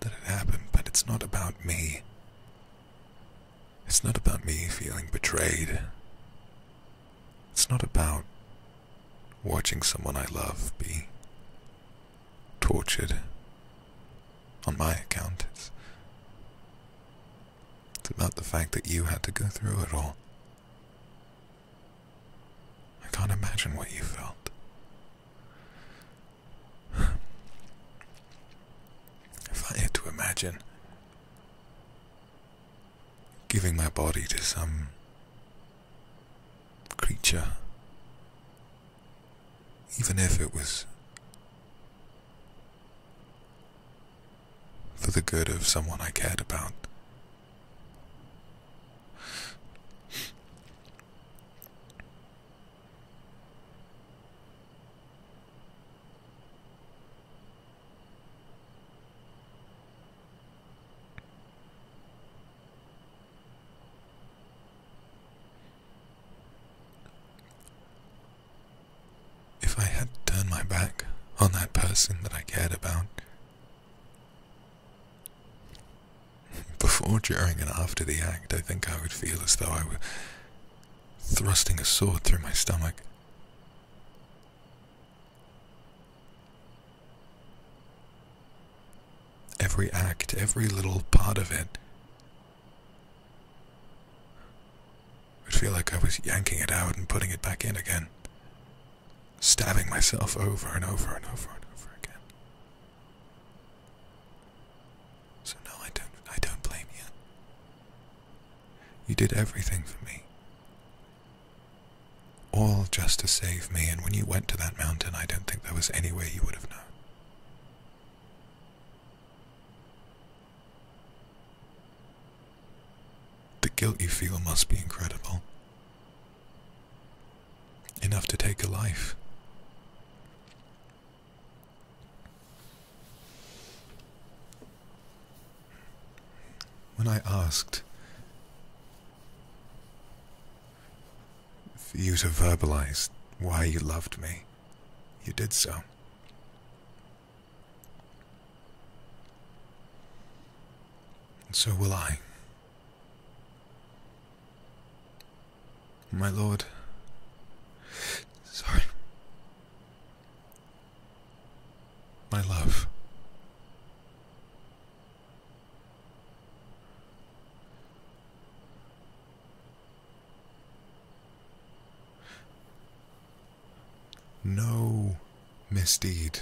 that it happened, but it's not about me. It's not about me feeling betrayed. It's not about watching someone I love be tortured on my account. It's, about the fact that you had to go through it all. I can't imagine what you felt. if I had to imagine giving my body to some creature, even if it was for the good of someone I cared about. If I had turned my back on that person that I cared about, before, during, and after the act, I think I would feel as though I were thrusting a sword through my stomach. Every act, every little part of it. would feel like I was yanking it out and putting it back in again. Stabbing myself over and over and over and over again. So no, I don't I don't blame you. You did everything for me. All just to save me, and when you went to that mountain, I don't think there was any way you would have known. The guilt you feel must be incredible. Enough to take a life. When I asked for you to verbalize why you loved me, you did so. And so will I. My lord. Sorry my love. No misdeed,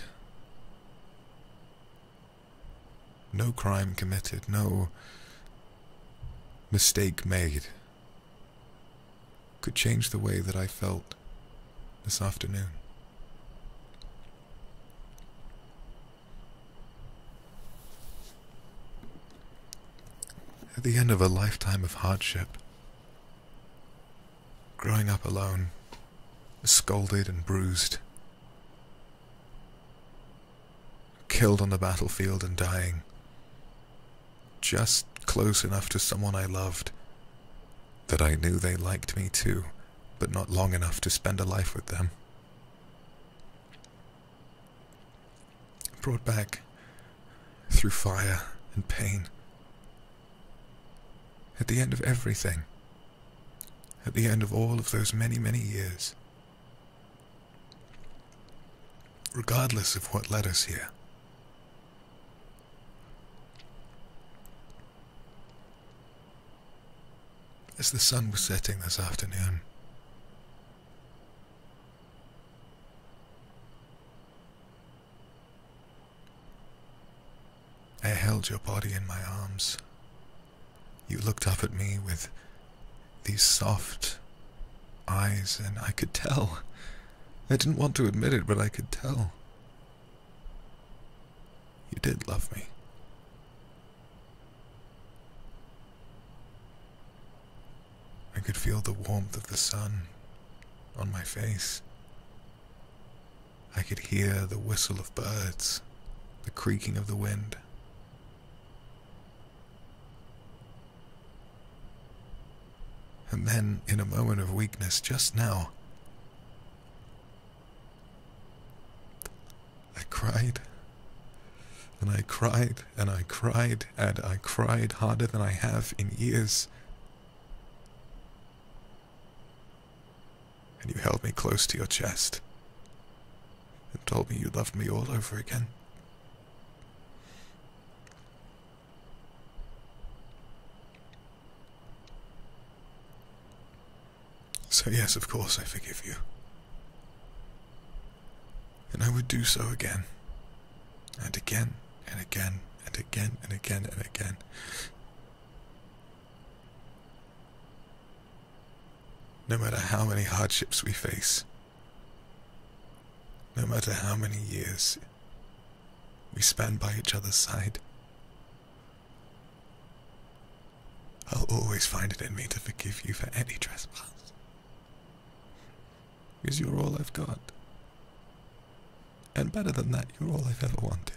no crime committed, no mistake made could change the way that I felt this afternoon. At the end of a lifetime of hardship, growing up alone, scolded and bruised, killed on the battlefield and dying, just close enough to someone I loved that I knew they liked me too, but not long enough to spend a life with them. Brought back through fire and pain. At the end of everything, at the end of all of those many, many years, regardless of what led us here, as the sun was setting this afternoon, I held your body in my arms. You looked up at me with these soft eyes, and I could tell I didn't want to admit it, but I could tell. You did love me. I could feel the warmth of the sun on my face. I could hear the whistle of birds, the creaking of the wind. And then, in a moment of weakness just now, I cried. And I cried, and I cried, and I cried harder than I have in years. And you held me close to your chest and told me you loved me all over again. So, yes, of course, I forgive you. And I would do so again, and again, and again, and again, and again, and again. No matter how many hardships we face, no matter how many years we stand by each other's side. I'll always find it in me to forgive you for any trespass. Because you're all I've got. And better than that, you're all I've ever wanted.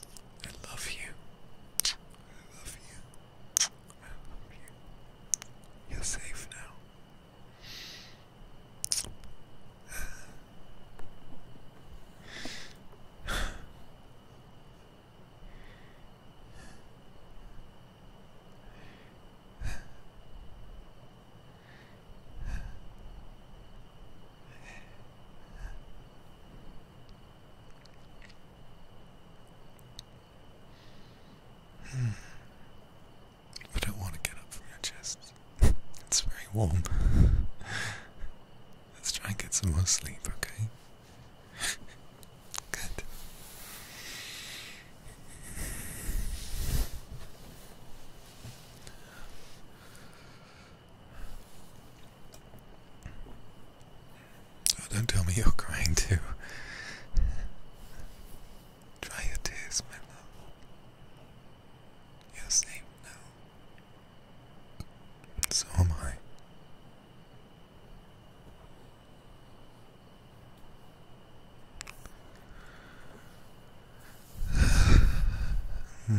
I love you. I love you. I love you. You're safe now. Hmm. I don't want to get up from your chest. it's very warm. Let's try and get some more sleep, okay? Good. Oh, don't tell me you're crying too. Dry your tears, my love. You're safe now. So am I. hmm.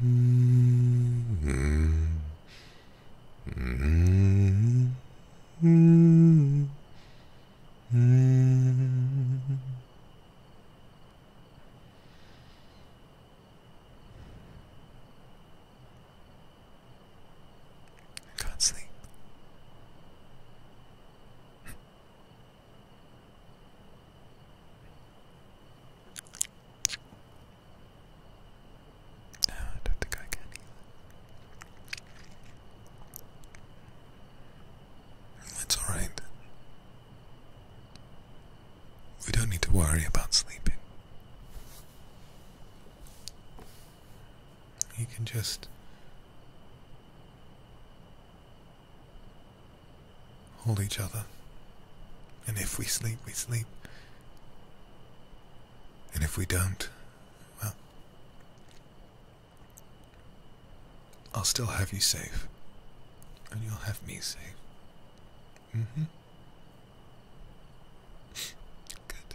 can't sleep. No, ah, I don't think I can It's alright. We don't need to worry about sleeping. You can just hold each other. And if we sleep, we sleep. And if we don't, well, I'll still have you safe. And you'll have me safe. Mm hmm. Good.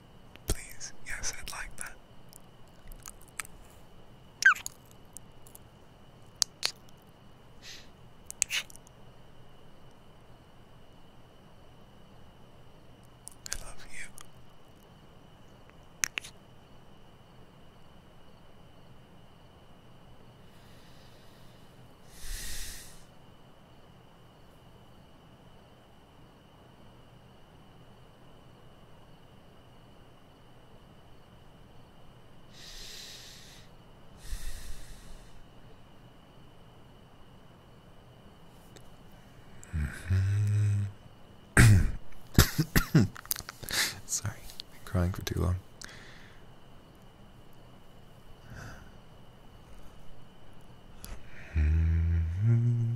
Please, yes, I'd like that. I love you. Sorry, been crying for too long. Mm-hmm.